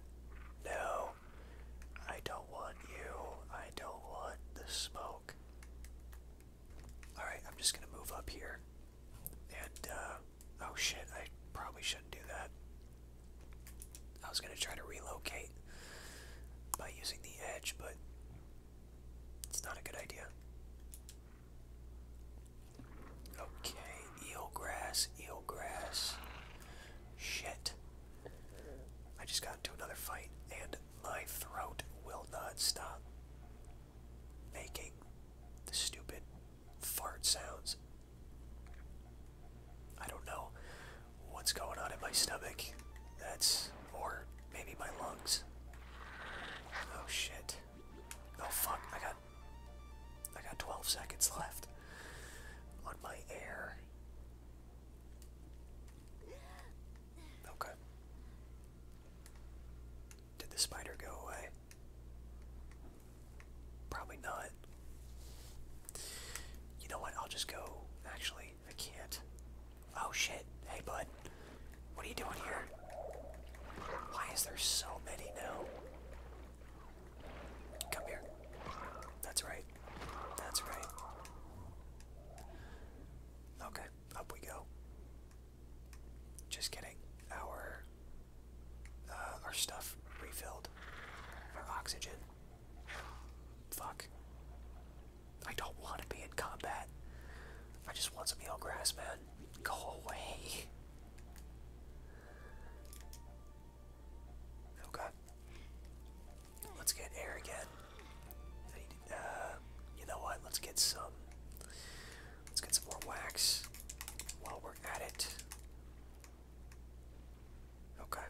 [SPEAKER 1] No. I don't want you. I don't want the smoke. Alright, I'm just gonna move up here. And, uh, oh shit, I probably shouldn't do that. I was gonna try to relocate by using the edge, but it's not a good idea. Okay, eelgrass, eelgrass. Shit. I just got into another fight and my throat will not stop making the stupid fart sounds. I don't know what's going on in my stomach. That's or Maybe my lungs. Oh shit. Oh fuck, I got I got 12 seconds left on my air. Okay. Did the spider go away? Probably not. You know what? I'll just go. Actually, I can't. Oh shit. Hey bud. What are you doing here? Why is there so many now? Come here. That's right. That's right. Okay, up we go. Just getting our uh, our stuff refilled. Our oxygen. Fuck. I don't want to be in combat. I just want some yellow grass, man. Go away. Okay. Let's get air again. Uh, you know what? Let's get some. Let's get some more wax while we're at it. Okay.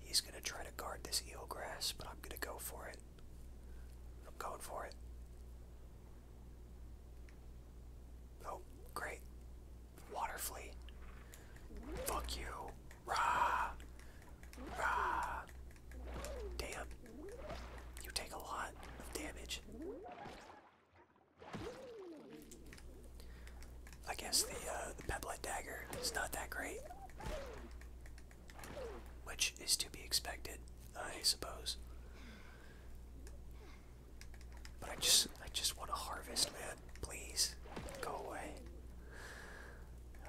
[SPEAKER 1] He's gonna try to guard this eel grass, but I'm gonna go for it. I'm going for it. Oh, great. Water flea. Fuck you. Rah! Rah! Damn. You take a lot damage. I guess the, uh, the Pebblet Dagger is not that great. Which is to be expected, I suppose. But I just I just want to harvest, man. Please. Go away.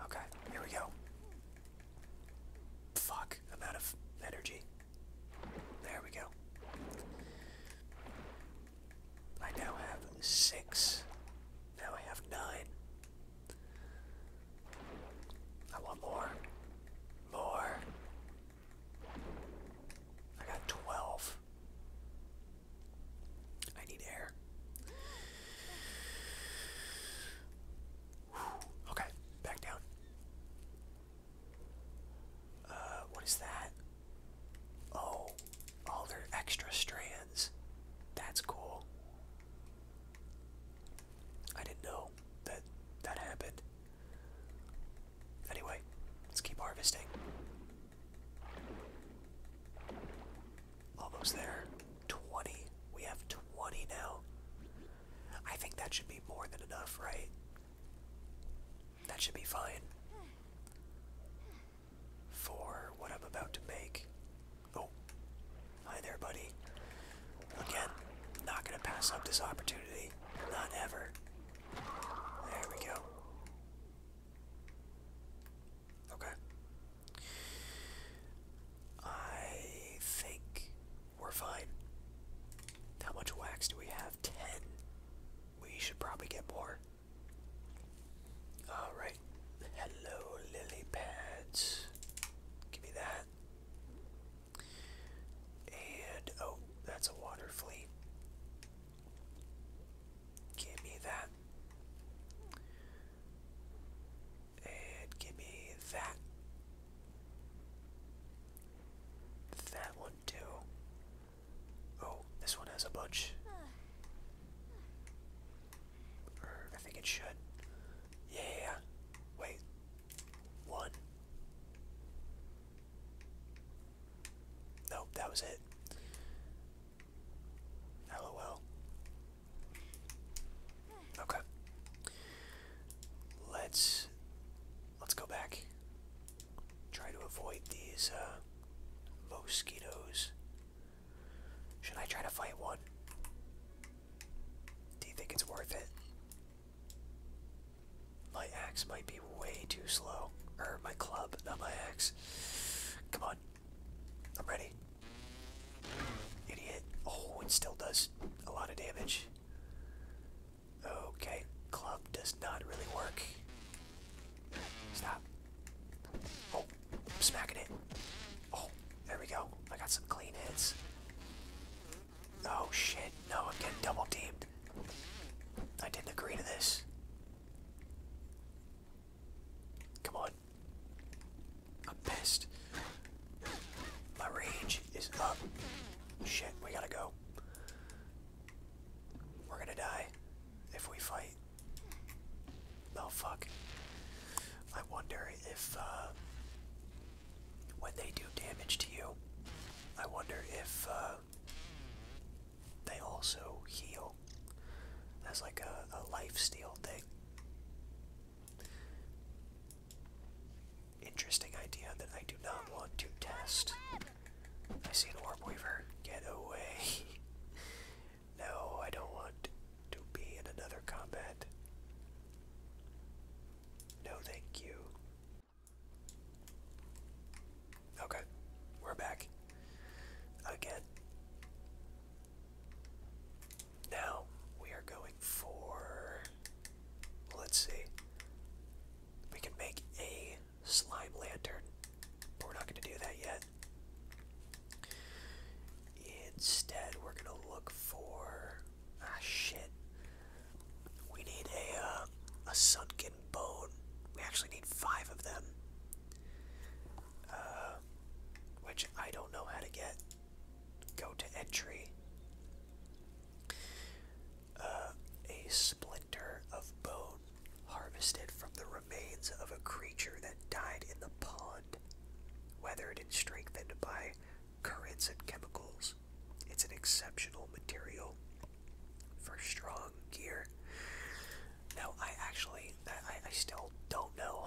[SPEAKER 1] Okay, here we go. Fuck, i of energy. There we go. I now have six. Now I have nine. I want more. More. I got 12. I need air. Okay, back down. Uh, what is that? Oh, all their extra strands. That's cool. I didn't know that that happened. Anyway, let's keep harvesting. Almost there. 20. We have 20 now. I think that should be more than enough, right? That should be fine. For what I'm about to make. Oh, hi there, buddy. Again, not going to pass up this opportunity. Not ever. There we go. Okay. I think we're fine. How much wax do we have? Ten. We should probably get more. Alright. Hello, lily pads. Give me that. And oh, that's a water fleet. Give me that. And give me that. That one too. Oh, this one has a bunch. I think it should. Yeah. Wait, one. Nope, that was it. LOL. Okay. Let's let's go back. Try to avoid these uh, mosquitoes. Should I try to fight one? Do you think it's worth it? My axe might be way too slow. Or my club, not my axe. Come on. I'm ready. Idiot. Oh, it still does a lot of damage. Okay, club does not really work. Stop. Oh, I'm smacking it. Oh, there we go. I got some clean hits. Oh shit, no, I'm getting double teamed. I didn't agree to this. Come on. I'm pissed. My rage is up. Shit, we gotta go. We're gonna die if we fight. Oh fuck. I wonder if, uh, when they do damage to you, I wonder if uh, they also heal as like a, a life steal thing. Interesting idea that I do not want to test. I see an orb weaver. Get away. no, I don't want to be in another combat. No, thank you. Okay, we're back. Again. Now we are going for. Let's see. We can make a slime lantern, but we're not going to do that yet. Instead, we're going to look for Ah, shit. We need a, uh, a sunken bone. We actually need five of them. Uh, which I don't know how to get. Go to entry. Uh, a splinter of bone harvested from the remains of a creature that died in the pond, weathered and strengthened by currents and chemicals. It's an exceptional material for strong gear. Now, I actually, I, I still don't know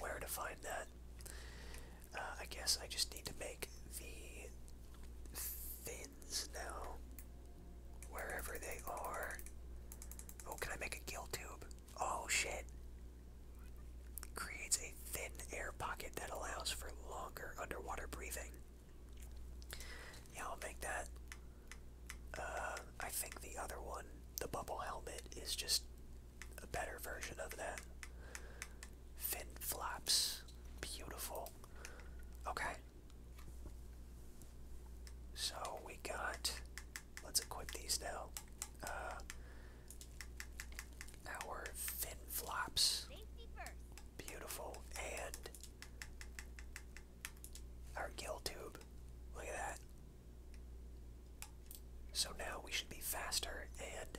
[SPEAKER 1] where to find that. Uh, I guess I just need to make the fins now, wherever they are. Oh, can I make a gill tube? Oh shit! Creates a thin air pocket that allows for longer underwater breathing. Yeah, I'll make that. Uh, I think the other one, the bubble helmet, is just a better version of that. Fin flaps. Beautiful. Okay. So we got. Let's equip these now. Uh, our fin flops. Beautiful. And our gill tube. Look at that. So now we should be faster and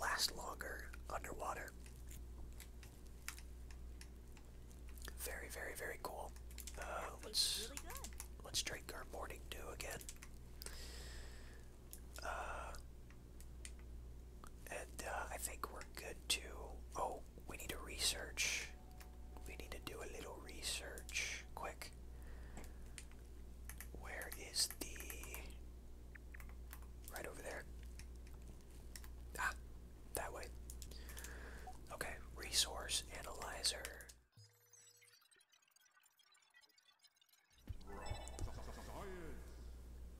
[SPEAKER 1] last longer underwater. Very, very, very cool. Uh, let's let's drink our morning dew again. Uh, and uh, I think we're good to. Oh, we need to research. We need to do a little research. Quick. Where is the. Right over there. Ah, that way. Okay, resource analyzer.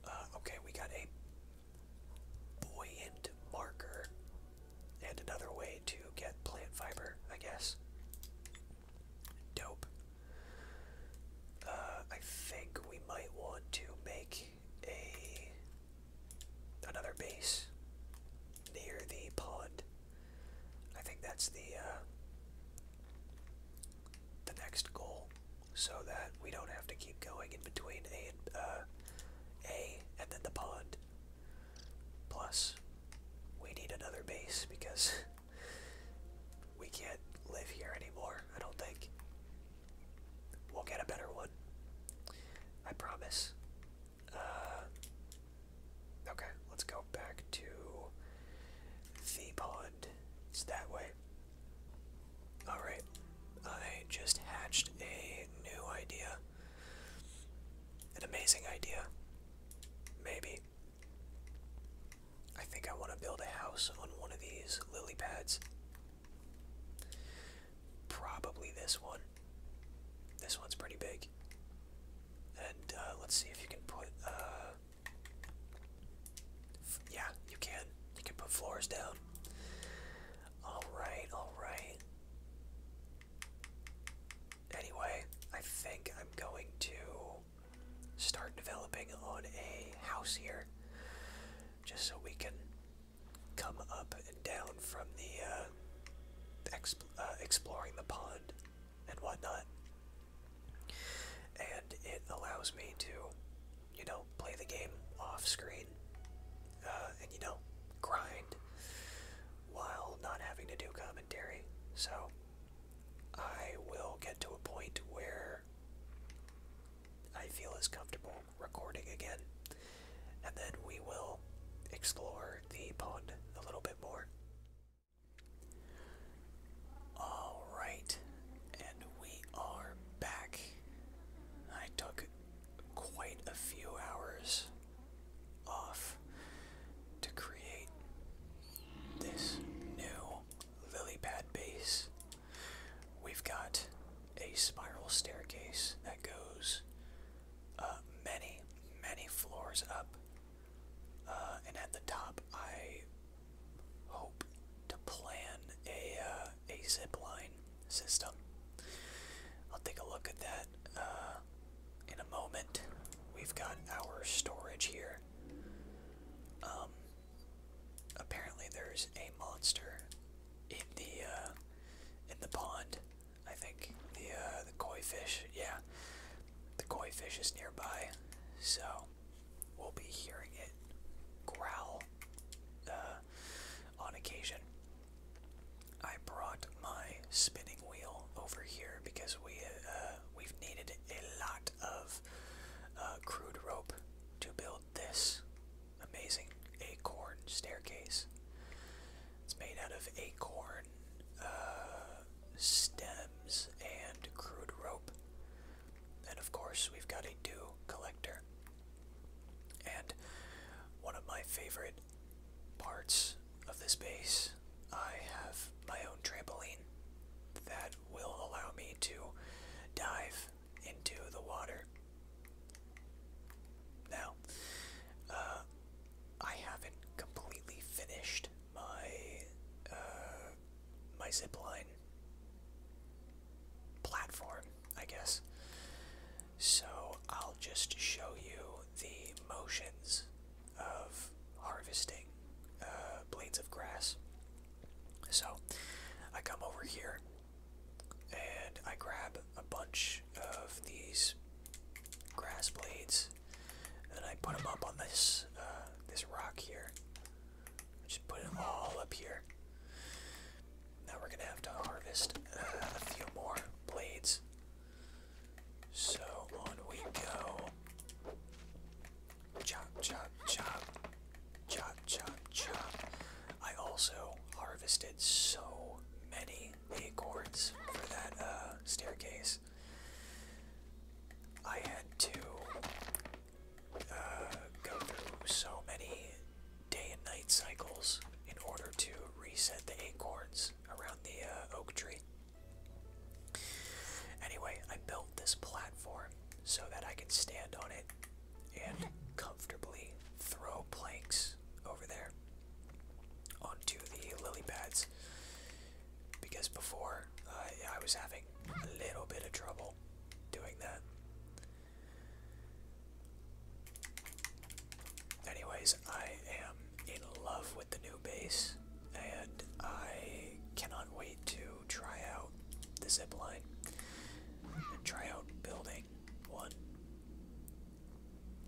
[SPEAKER 1] Uh, okay, we got a buoyant marker and another way to get plant fiber, I guess. Dope. Uh, I think we might want to make a another base near the pond. I think that's the uh, the next goal so that we don't have to keep going in between A and, uh, A and then the pond. Plus, we need another base because we can't live here anymore, I don't think. We'll get a better one. I promise. Uh, okay, let's go back to the pond. It's that way. Alright, I just hatched a new idea. An amazing idea. Maybe. I think I want to build a house on one of these lily pads. Probably this one. This one's pretty big. And uh, let's see if you can put. Uh, yeah, you can. You can put floors down. Alright, alright. Anyway, I think I'm going to start developing on a house here. Just so we can come up and down from the, uh, uh, exploring the pond and whatnot and it allows me to, you know, play the game off screen uh, and, you know, grind while not having to do commentary. So I will get to a point where I feel as comfortable recording again, and then we will explore the pond a little bit more. All right, and we are back. I took quite a few hours off to create this new lily base. We've got a spiral staircase that goes uh, many, many floors up. Uh, and at the top, I hope to plan a uh, a zip system. I'll take a look at that uh, in a moment. We've got our storage here. Um, apparently, there's a monster in the in the pond. I think the the koi fish. Yeah, the koi fish is nearby, so we'll be hearing it growl uh, on occasion. I brought my spinning wheel over here because we uh, we've needed a lot of uh, crude rope to build this amazing acorn staircase. It's made out of acorn stems and crude rope. And of course, we've got a dew collector. And one of my favorite parts of this base, I have my own trampoline that will allow me to dive into the water. Now, uh, I haven't completely finished my uh, my zipline platform, I guess. So I'll just show you the motions of harvesting uh, blades of grass. So I come over here and I grab a bunch of these grass blades and I put them up on this uh, this rock here. Just put them all up here. Now we're gonna have to harvest uh, a few more blades. So on we go. Chop, chop, chop. Chop, chop, chop. I also harvested so many acorns for that uh, staircase. I had to uh, go through so many day and night cycles in order to reset the acorns around the uh, oak tree. Anyway, I built this platform so that I can stand on it and comfortably throw planks over there onto the lily pads because before uh, I was having a little bit of trouble doing that. Anyways, I am in love with the new base, and I cannot wait to try out the zipline and try out building one.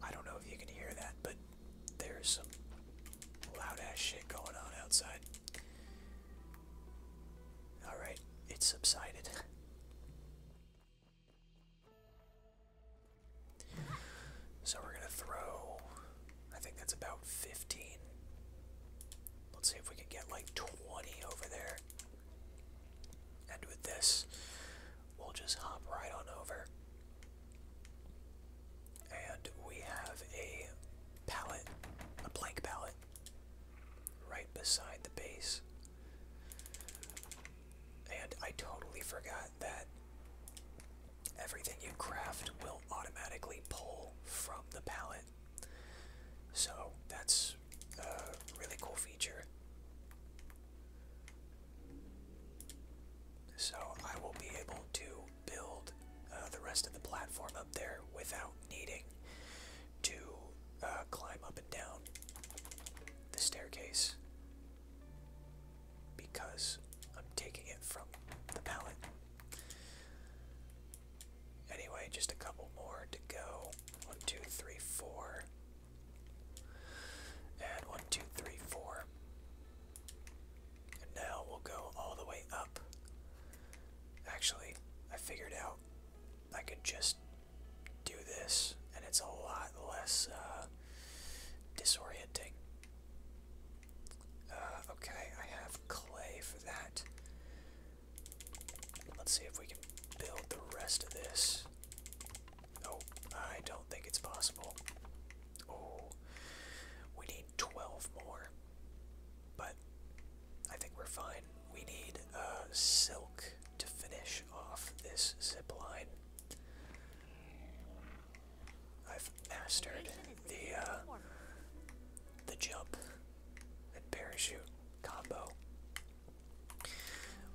[SPEAKER 1] I don't know if you can hear that, but there's some loud ass shit going on outside. Alright, it subsided. So we're going to throw, I think that's about 15. Let's see if we can get like 20 over there. And with this, we'll just hop right on over. And we have a pallet, a blank pallet right beside the base. And I totally forgot that everything you craft will automatically pull from the palette. So that's a really cool feature. So I will be able to build uh, the rest of the platform up there without needing to uh, climb up and down the staircase because I'm taking it from the pallet. Anyway, just a couple more to go. One, two, three, four. And one, two, three, four. And now we'll go all the way up Actually, I figured out I could just do this, and it's a lot less uh, disorienting. Uh, okay, I have clay for that. Let's see if we can build the rest of this. Oh, I don't think it's possible. Oh, we need 12 more. But I think we're fine. We need uh, silk to finish off this zip line. I've mastered the uh, the jump and parachute combo.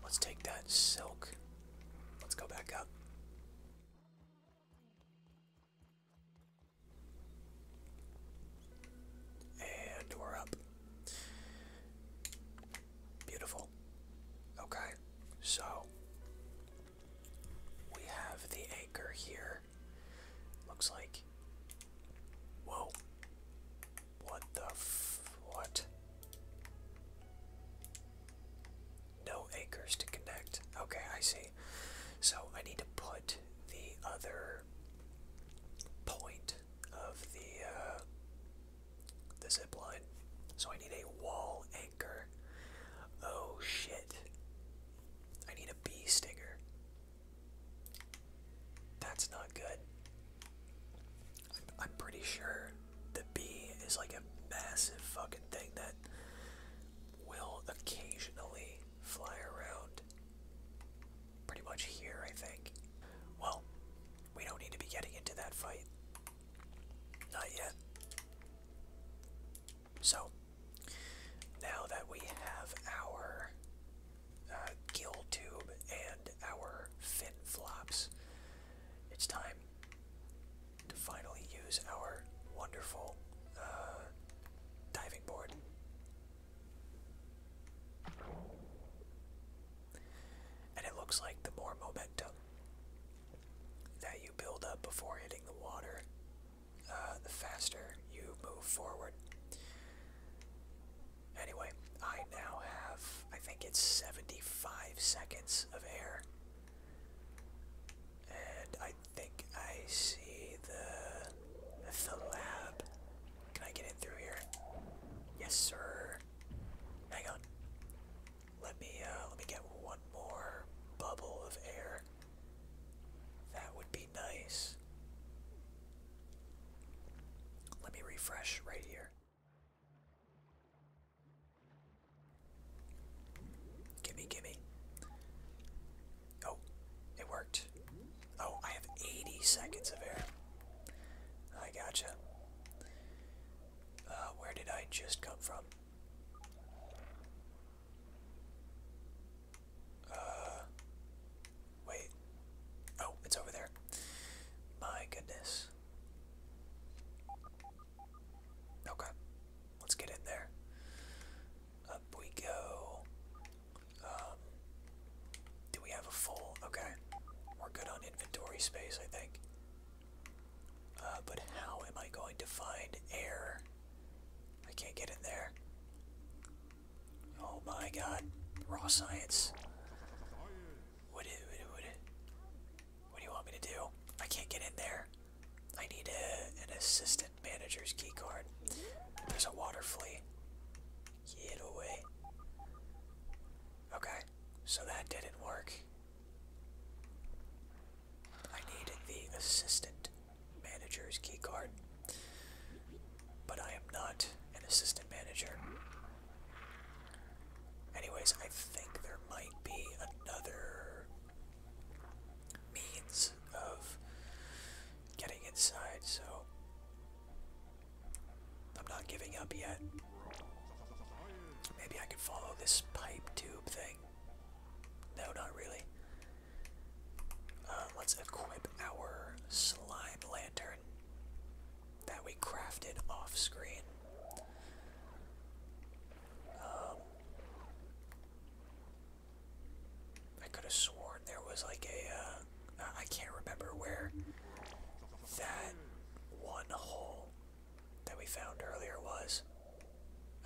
[SPEAKER 1] Let's take that silk. Let's go back up. And we're up. Beautiful. Okay, so we have the anchor here. Looks like. Whoa. What the f. What? No anchors to connect. Okay, I see. So I need to put the other point of the uh, the zip So I need a wall anchor. Oh shit! I need a bee stinger. That's not good. I'm pretty sure the bee is like a massive fucking thing that will occasionally fly around pretty much here, I think. Well, we don't need to be getting into that fight. Not yet. So, now that we have our uh, gill tube and our fin flops, it's time to finally use our wonderful uh, diving board. And it looks like the more momentum that you build up before hitting the water, uh, the faster you move forward. Anyway, I now have, I think it's 75 seconds of air. And I think I see the, the lab can I get in through here? Yes, sir. Hang on. Let me uh, let me get one more bubble of air. That would be nice. Let me refresh right here. Gimme, gimme. Oh, it worked. Oh, I have 80 seconds of air. I gotcha. Uh, where did I just come from? Uh, wait. Oh, it's over there. My goodness. Okay, let's get in there. Up we go. Um, do we have a full? Okay. We're good on inventory space, I think. Uh, but how am I going to find air? I can't get in there. Oh my god. Raw science. What do, what, do, what do you want me to do? I can't get in there. I need a, an assistant manager's key card. There's a water flea. Get away. Okay, so that didn't work. I need the assistant manager's keycard. But I am not an assistant manager. Anyways, I think there might be another means of getting inside, so I'm not giving up yet. Maybe I could follow this pipe tube thing. No, not really. Uh, let's equip our slime lantern that we crafted off screen. Um, I could have sworn there was like a. Uh, I can't remember where that one hole that we found earlier was.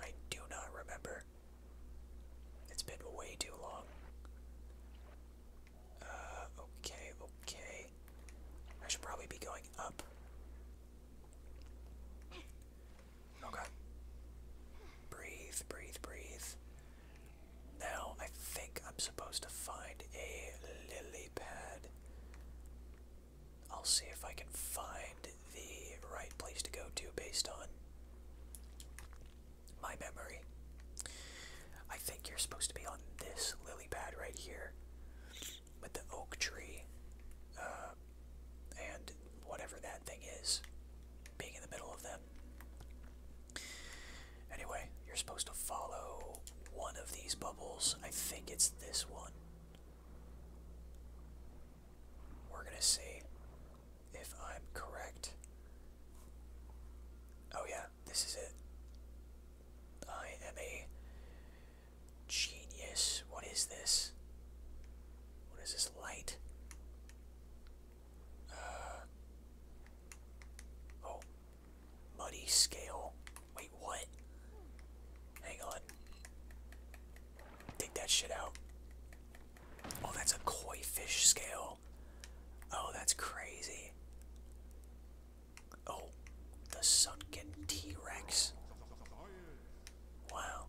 [SPEAKER 1] I do not remember. It's been way too long. Uh, okay, okay. I should probably be going up. Okay. Breathe, breathe, breathe. Now I think I'm supposed to find a lily pad. I'll see if I can find the right place to go to based on my memory. I think you're supposed to be on this lily pad right here with the oak tree uh, and whatever that thing is being in the middle of them. Anyway, you're supposed to follow one of these bubbles. I think it's this one. We're gonna see if I'm correct. Oh, yeah, this is it. I am a genius. What is this? What is this light? Uh, oh, muddy scale. Wait, what? Hang on. Take that shit out. Oh, that's a koi fish scale. Oh, that's crazy. Oh, the sunken T-Rex. Wow.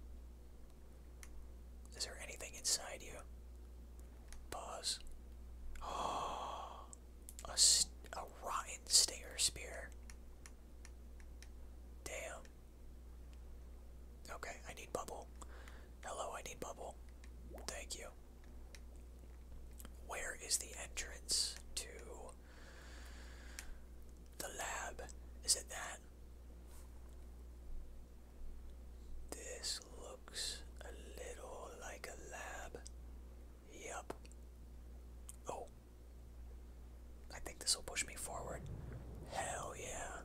[SPEAKER 1] Is there anything inside you? Pause. Oh, a, a rotten stinger spear. Damn. Okay, I need bubble. Hello, I need bubble. Thank you. Where is the entrance to the lab? Is it that? This looks a little like a lab. Yep. Oh. I think this will push me forward. Hell yeah.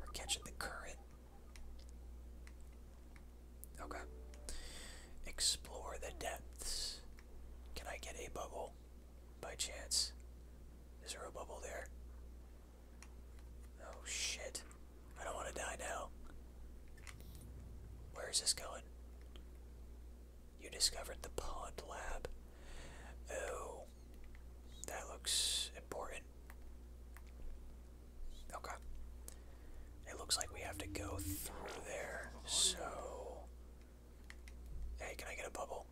[SPEAKER 1] We're catching the current. Okay. Explore the depths. Can I get a bubble by chance? Is there a bubble there? Oh shit. I don't want to die now. Where is this going? You discovered the pod lab. Oh. That looks important. Okay. It looks like we have to go through there, so. Hey, can I get a bubble?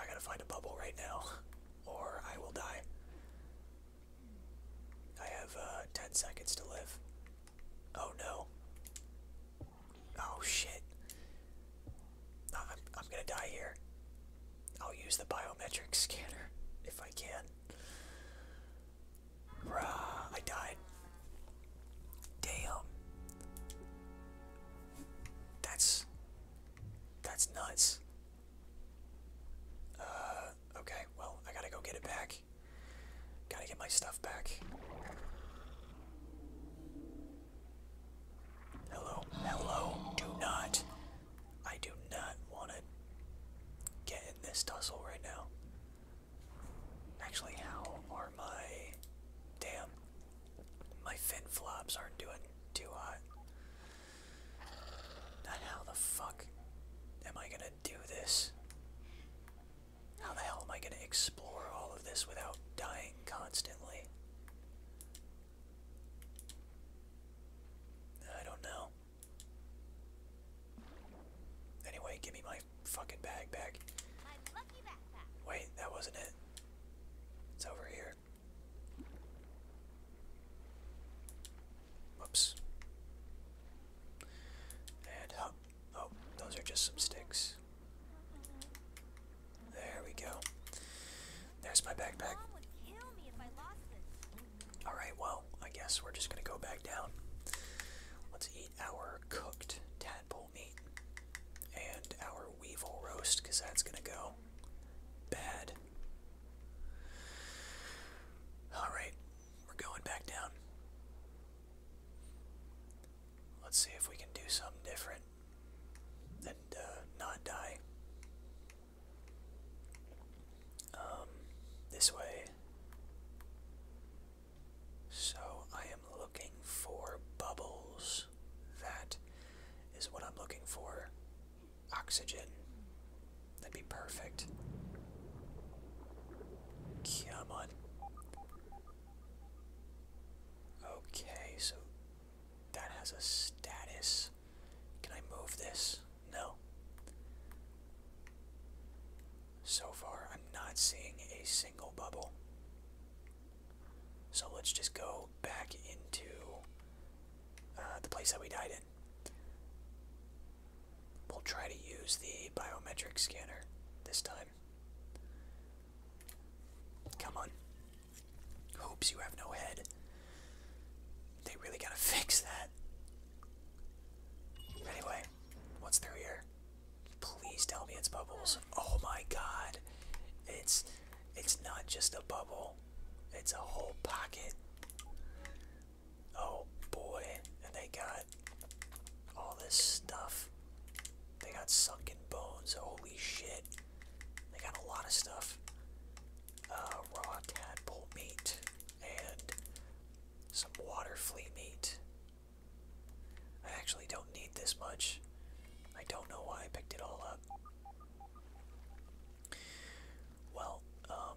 [SPEAKER 1] I gotta find a bubble right now, or I will die. I have uh, 10 seconds to live. Oh no. Oh shit. I'm, I'm gonna die here. I'll use the biometric scanner if I can. Rah, I died. Damn. That's. That's nuts. Uh, okay, well, I gotta go get it back. Gotta get my stuff back. Hello, hello, do not. I do not want to get in this tussle right now. Actually, how are my. Damn. My fin flops aren't doing too hot. How the fuck am I gonna do this? How the hell am I gonna explore all of this without dying constantly? I don't know. Anyway, give me my fucking bag back. Wait, that wasn't it. It's over here. Whoops. And up. Oh, oh, those are just some sticks. There we go. There's my backpack. Alright, well, I guess we're just gonna go back down. Let's eat our cooked tadpole meat and our weevil roast, because that's gonna go Bad. Alright, we're going back down. Let's see if we can do something different and uh, not die. Um, this way. So I am looking for bubbles. That is what I'm looking for oxygen. That'd be perfect. Come on. Okay, so that has a status. Can I move this? No. So far, I'm not seeing a single bubble. So let's just go back into uh, the place that we died in. We'll try to use the biometric scanner this time. Come on. Hoops, you have no head. They really gotta fix that. Anyway, what's through here? Please tell me it's bubbles. Oh my god. It's it's not just a bubble. It's a whole pocket. Oh boy, and they got all this stuff. They got sunken bones, holy shit. They got a lot of stuff. Uh, raw tadpole meat and some water flea meat. I actually don't need this much. I don't know why I picked it all up. Well, um,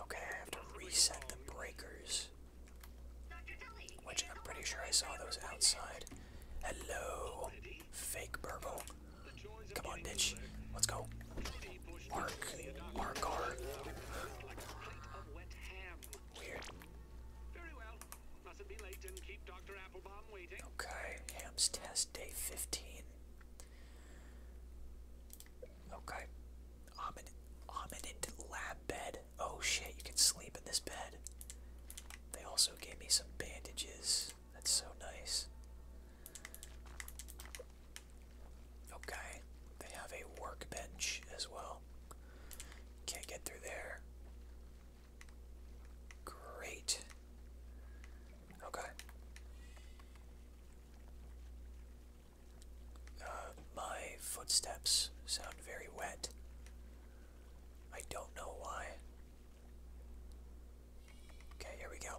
[SPEAKER 1] Okay, I have to reset the breakers. Which I'm pretty sure I saw those outside. Hello, fake burble. Come on, bitch. Let's go. Arc. Arc. Arc. Weird. Okay, Ham's test day 15. Okay. Omnid Omnid lab bed. Oh shit, you can sleep in this bed. They also gave me some bandages. That's so nice. Okay. They have a workbench as well. Can't get through there. Great. Okay. Uh, my footsteps sound very wet. I don't know why. Okay, here we go.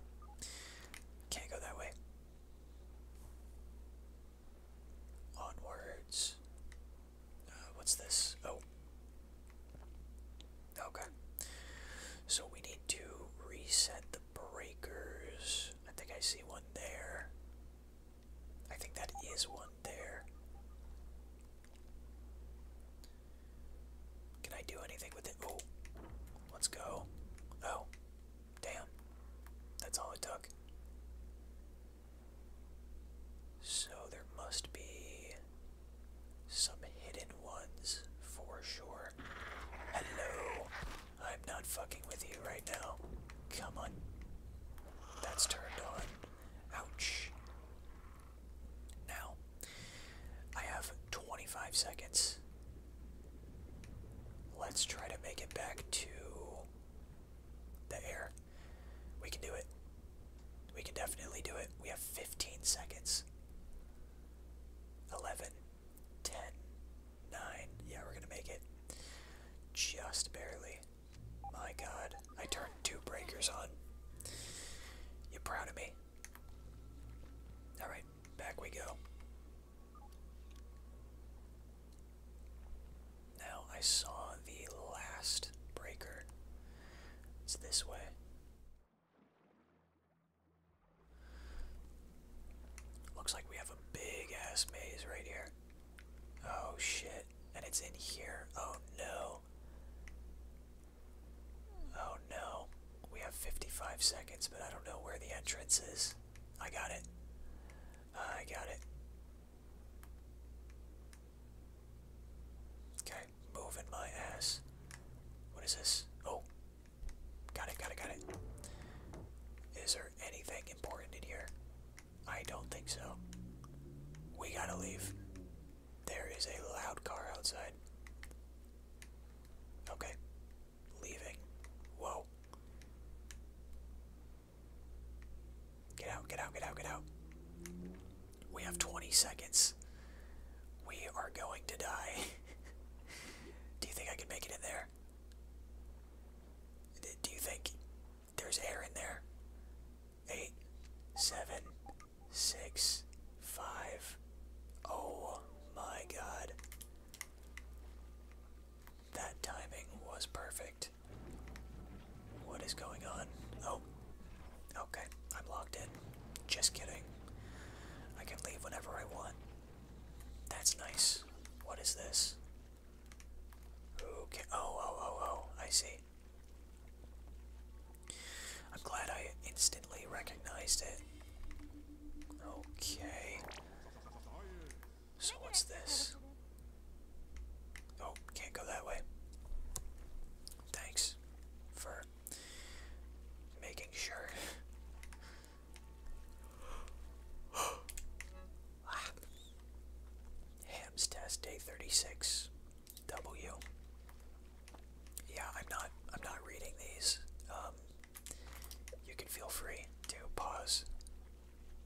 [SPEAKER 1] Can't go that way. Onwards. Uh, what's this? Oh. Okay. So we need to reset breakers. I think I see one there. I think that is one there. Can I do anything with it? Oh, let's go. Oh, damn. That's all it took. So there must be some hidden ones for sure. Hello. I'm not fucking with you right now. Come on. That's turned on. Ouch. Now, I have 25 seconds. Let's try to make it back to the air. We can do it. We can definitely do it. We have 15 seconds. 11, 10, Nine. Yeah, we're gonna make it. Just barely. My god. I turned two breakers on. You proud of me? Alright, back we go. Now I saw the last breaker. It's this way. Looks like we have a big ass maze right here. Oh shit. And it's in here. Oh no. Oh no. We have 55 seconds, but I don't know where the entrance is. I got it. I got it. Okay, moving my ass. What is this? Oh, Got it, got it, got it. Is there anything important in here? I don't think so. We gotta leave. There is a loud car outside. Okay. Leaving. Whoa. Get out, get out, get out, get out. We have 20 seconds. We are going to die. Do you think I can make it in there? Do you think there's air in there? Eight, seven, six, five. Oh my god. That timing was perfect. What is going on? Oh. Okay, I'm locked in. Just kidding. I can leave whenever I want. That's nice. What is this? Okay. Oh, oh, oh, oh. I see. I'm glad I instantly recognized it. Okay. So what's this? Oh, can't go that way. Thanks for making sure. Hams test day 36 W. Yeah, I'm not I'm not reading these. Um, you can feel free to pause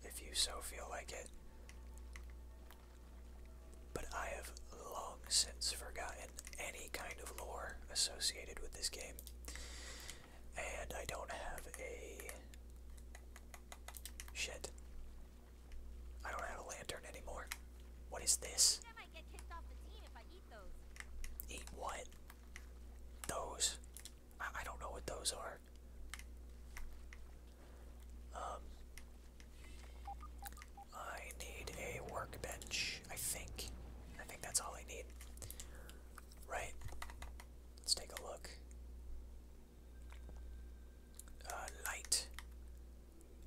[SPEAKER 1] if you so feel like it. But I have long since forgotten any kind of lore associated with this game. And I don't have a. Shit. I don't have a lantern anymore. What is this? eat what? Those? I don't know what those are. Um. I need a workbench, I think. I think that's all I need. Right. Let's take a look. Uh, light.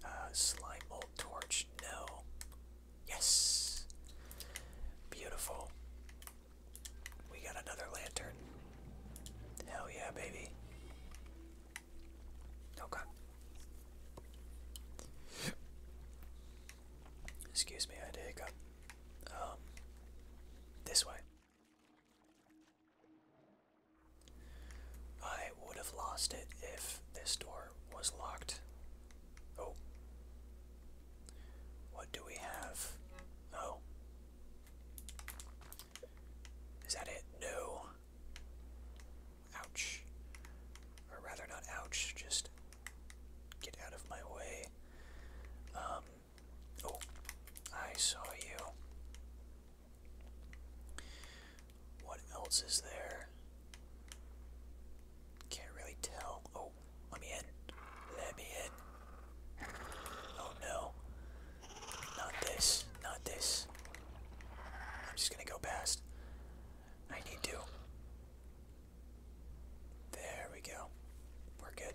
[SPEAKER 1] Uh, slime bolt torch. No. Yes. Beautiful. We got another lantern. Hell yeah, baby. Okay. Excuse me, I had a um, this way. I would have lost it if this door was locked. Oh. What do we have? Oh. Is that it? No. Ouch. Or rather, not ouch, just get out of my way. Um, Oh, I saw you. What else is there? Can't really tell. Oh, let me in. Let me in. Oh no. Not this. Not this. I'm just gonna go past. I need to. There we go. We're good.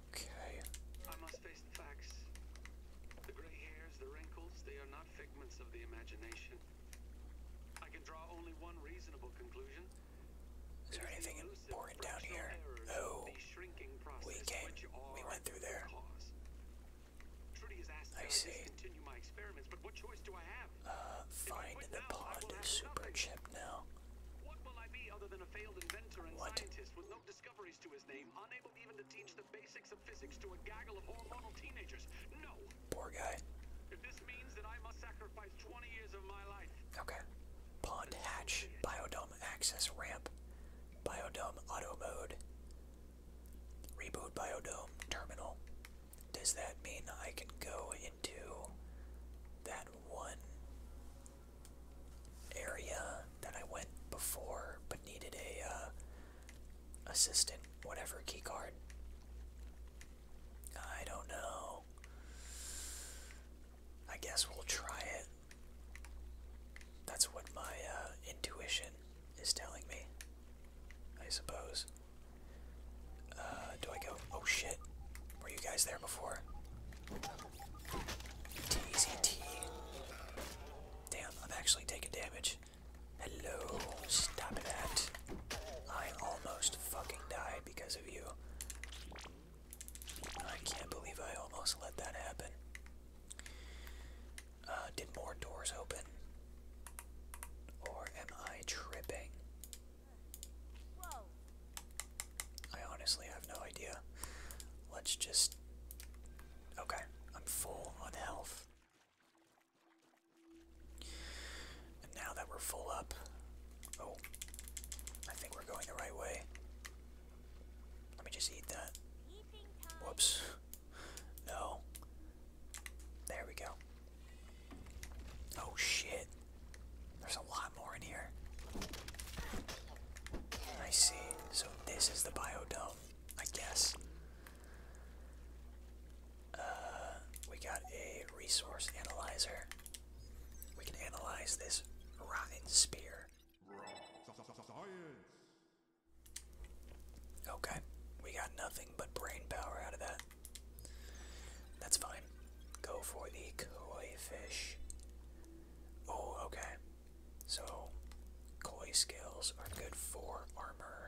[SPEAKER 3] I must face the facts. The gray hairs, the wrinkles, they are not figments of the imagination. I can draw only one reasonable conclusion. Is there anything important down here? Oh, we came. We went through there. I see. Uh, find the pond super chip now.
[SPEAKER 1] What? discoveries to his name, unable even to teach the basics of physics to a gaggle of hormonal teenagers. No. Poor guy. If this means that I must sacrifice 20 years of my life. Okay. Pond hatch, biodome access ramp, biodome auto mode, reboot biodome terminal. Does that mean I can go into that one area that I went before, but needed a uh, assistant, whatever keycard. I don't know. I guess we'll try it. That's what my uh, intuition is telling me. I suppose. Uh, do I go? Oh shit! Were you guys there before? TZT. Damn, I'm actually taking damage. Hello, stop that. I almost fucking died because of you. I can't believe I almost let that happen. Uh, did more doors open? Or am I tripping? I honestly have no idea. Let's just Okay, I'm full on health. And now that we're full up, oh, I think we're going the right way. Let me just eat that. Whoops. No. There we go. Oh shit. There's a lot more in here. I see. So this is the biodome, I guess. Uh, we got a resource analyzer. We can analyze this rotten spear.
[SPEAKER 2] Okay, we got nothing but brain power out of that. That's fine. Go for the koi fish.
[SPEAKER 1] Oh, okay. So, koi scales are good for armor.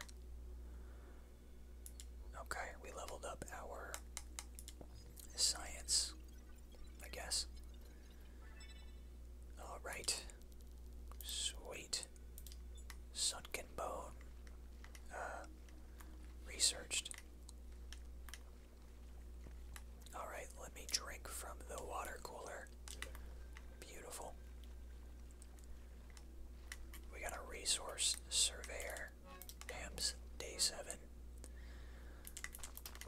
[SPEAKER 1] Okay, we leveled up our science, I guess. Alright. Sweet. Sunken bone. Uh, researched. Alright, let me drink from the water cooler. Beautiful. We got a resource surveyor, AMS day 7.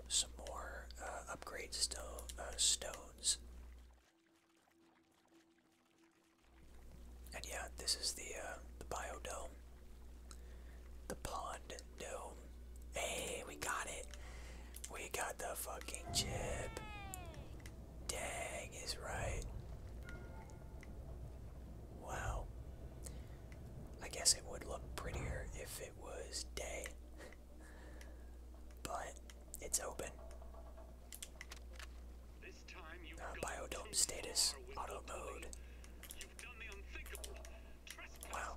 [SPEAKER 1] Some more uh, upgrade uh, stones. And yeah, this is the, uh, the biodome. The pond dome. Hey, we got it. We got the fucking chip. Dang is right. Wow. I guess it would look prettier if it was day. but it's open. This time uh, status, auto mode. Wow.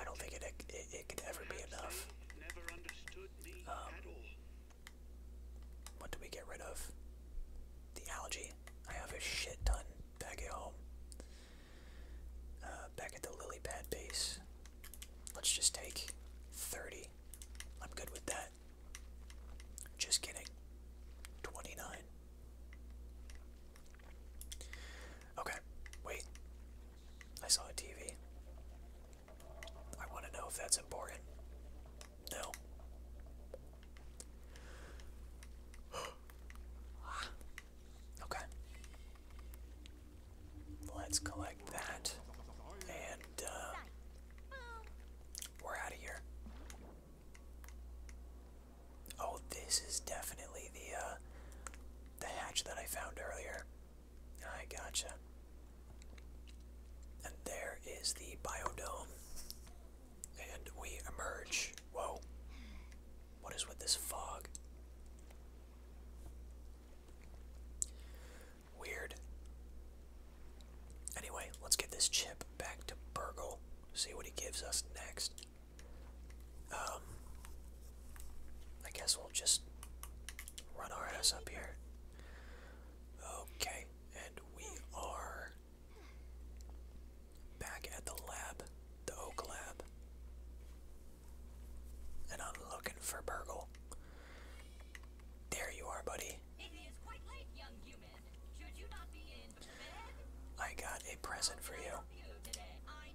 [SPEAKER 1] I don't think it, it, could ever be enough. Um, what do we get rid of? The algae. I have a shit ton back at home. Uh, back at the lily pad base. Let's just take 30. I'm good with that. Just kidding. 29. Okay, wait. I saw a TV. I want to know if that's important. No. okay. Let's collect that. And, uh, we're out of here. Oh, this is definitely the uh, the hatch that I found earlier. I gotcha. And there is the biodome. And we emerge. Whoa. What is with this fog? Weird. Anyway, let's get this chip back to Burgle. See what he gives us next. Um, I guess we'll just run our ass up here. Okay, and we are back at the lab, the Oak Lab. And I'm looking for Burgle. There you are, buddy.
[SPEAKER 3] It is quite late,
[SPEAKER 1] young human. Should you not be in bed? I got a present for you.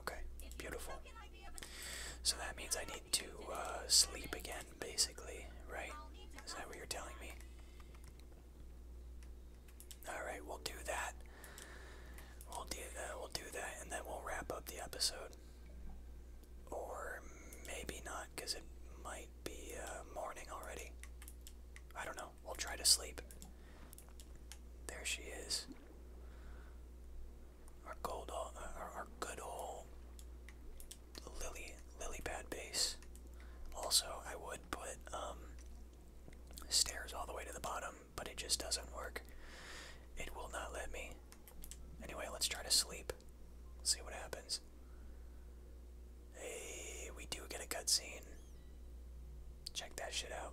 [SPEAKER 1] Okay, beautiful. So that means I need to uh, sleep again, basically, right? Is that what you're telling me? Alright, we'll do that. We'll do, uh, we'll do that, and then we'll wrap up the episode. Or maybe not, because it might be uh, morning already. I don't know. We'll try to sleep. There she is. Our gold, our, good old lily, lily pad base. Also, I would put um, stairs all the way to the bottom, but it just doesn't work. It will not let me. Anyway, let's try to sleep. See what happens. Hey, we do get a cutscene. Check that shit out.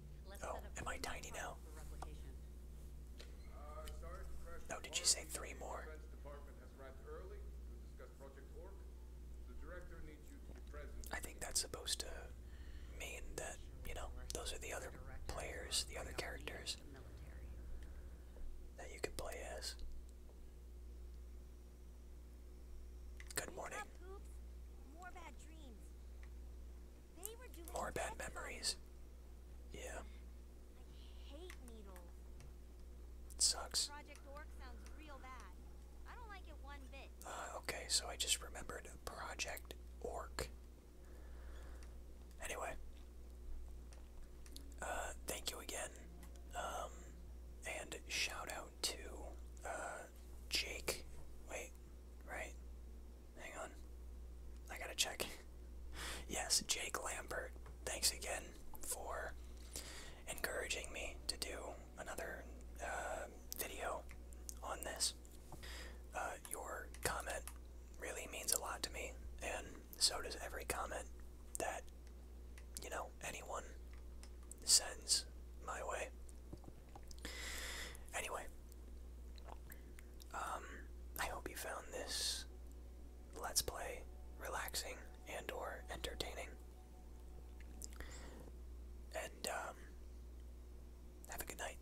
[SPEAKER 1] Oh, am I tiny now? No, did you
[SPEAKER 3] say three more?
[SPEAKER 1] I think that's supposed to mean that, you know, those are the other players, the other characters that you could play as. Good morning.
[SPEAKER 3] More bad memories.
[SPEAKER 1] Yeah. I hate needles. It sucks.
[SPEAKER 3] Project Orc sounds real bad. I
[SPEAKER 1] don't like it one bit. okay, so I just remembered Project Orc. Anyway. Uh, thank you again. Um, and shout out to, uh, Jake. Wait, right? Hang on. I gotta check. Yes, Jake Lambert. Thanks again for encouraging me to do another uh, video on this. Uh, your comment really means a lot to me, and so does every comment that, you know, anyone sends my way. Anyway, um, I hope you found this let's play relaxing and or entertaining. And um, have a good night.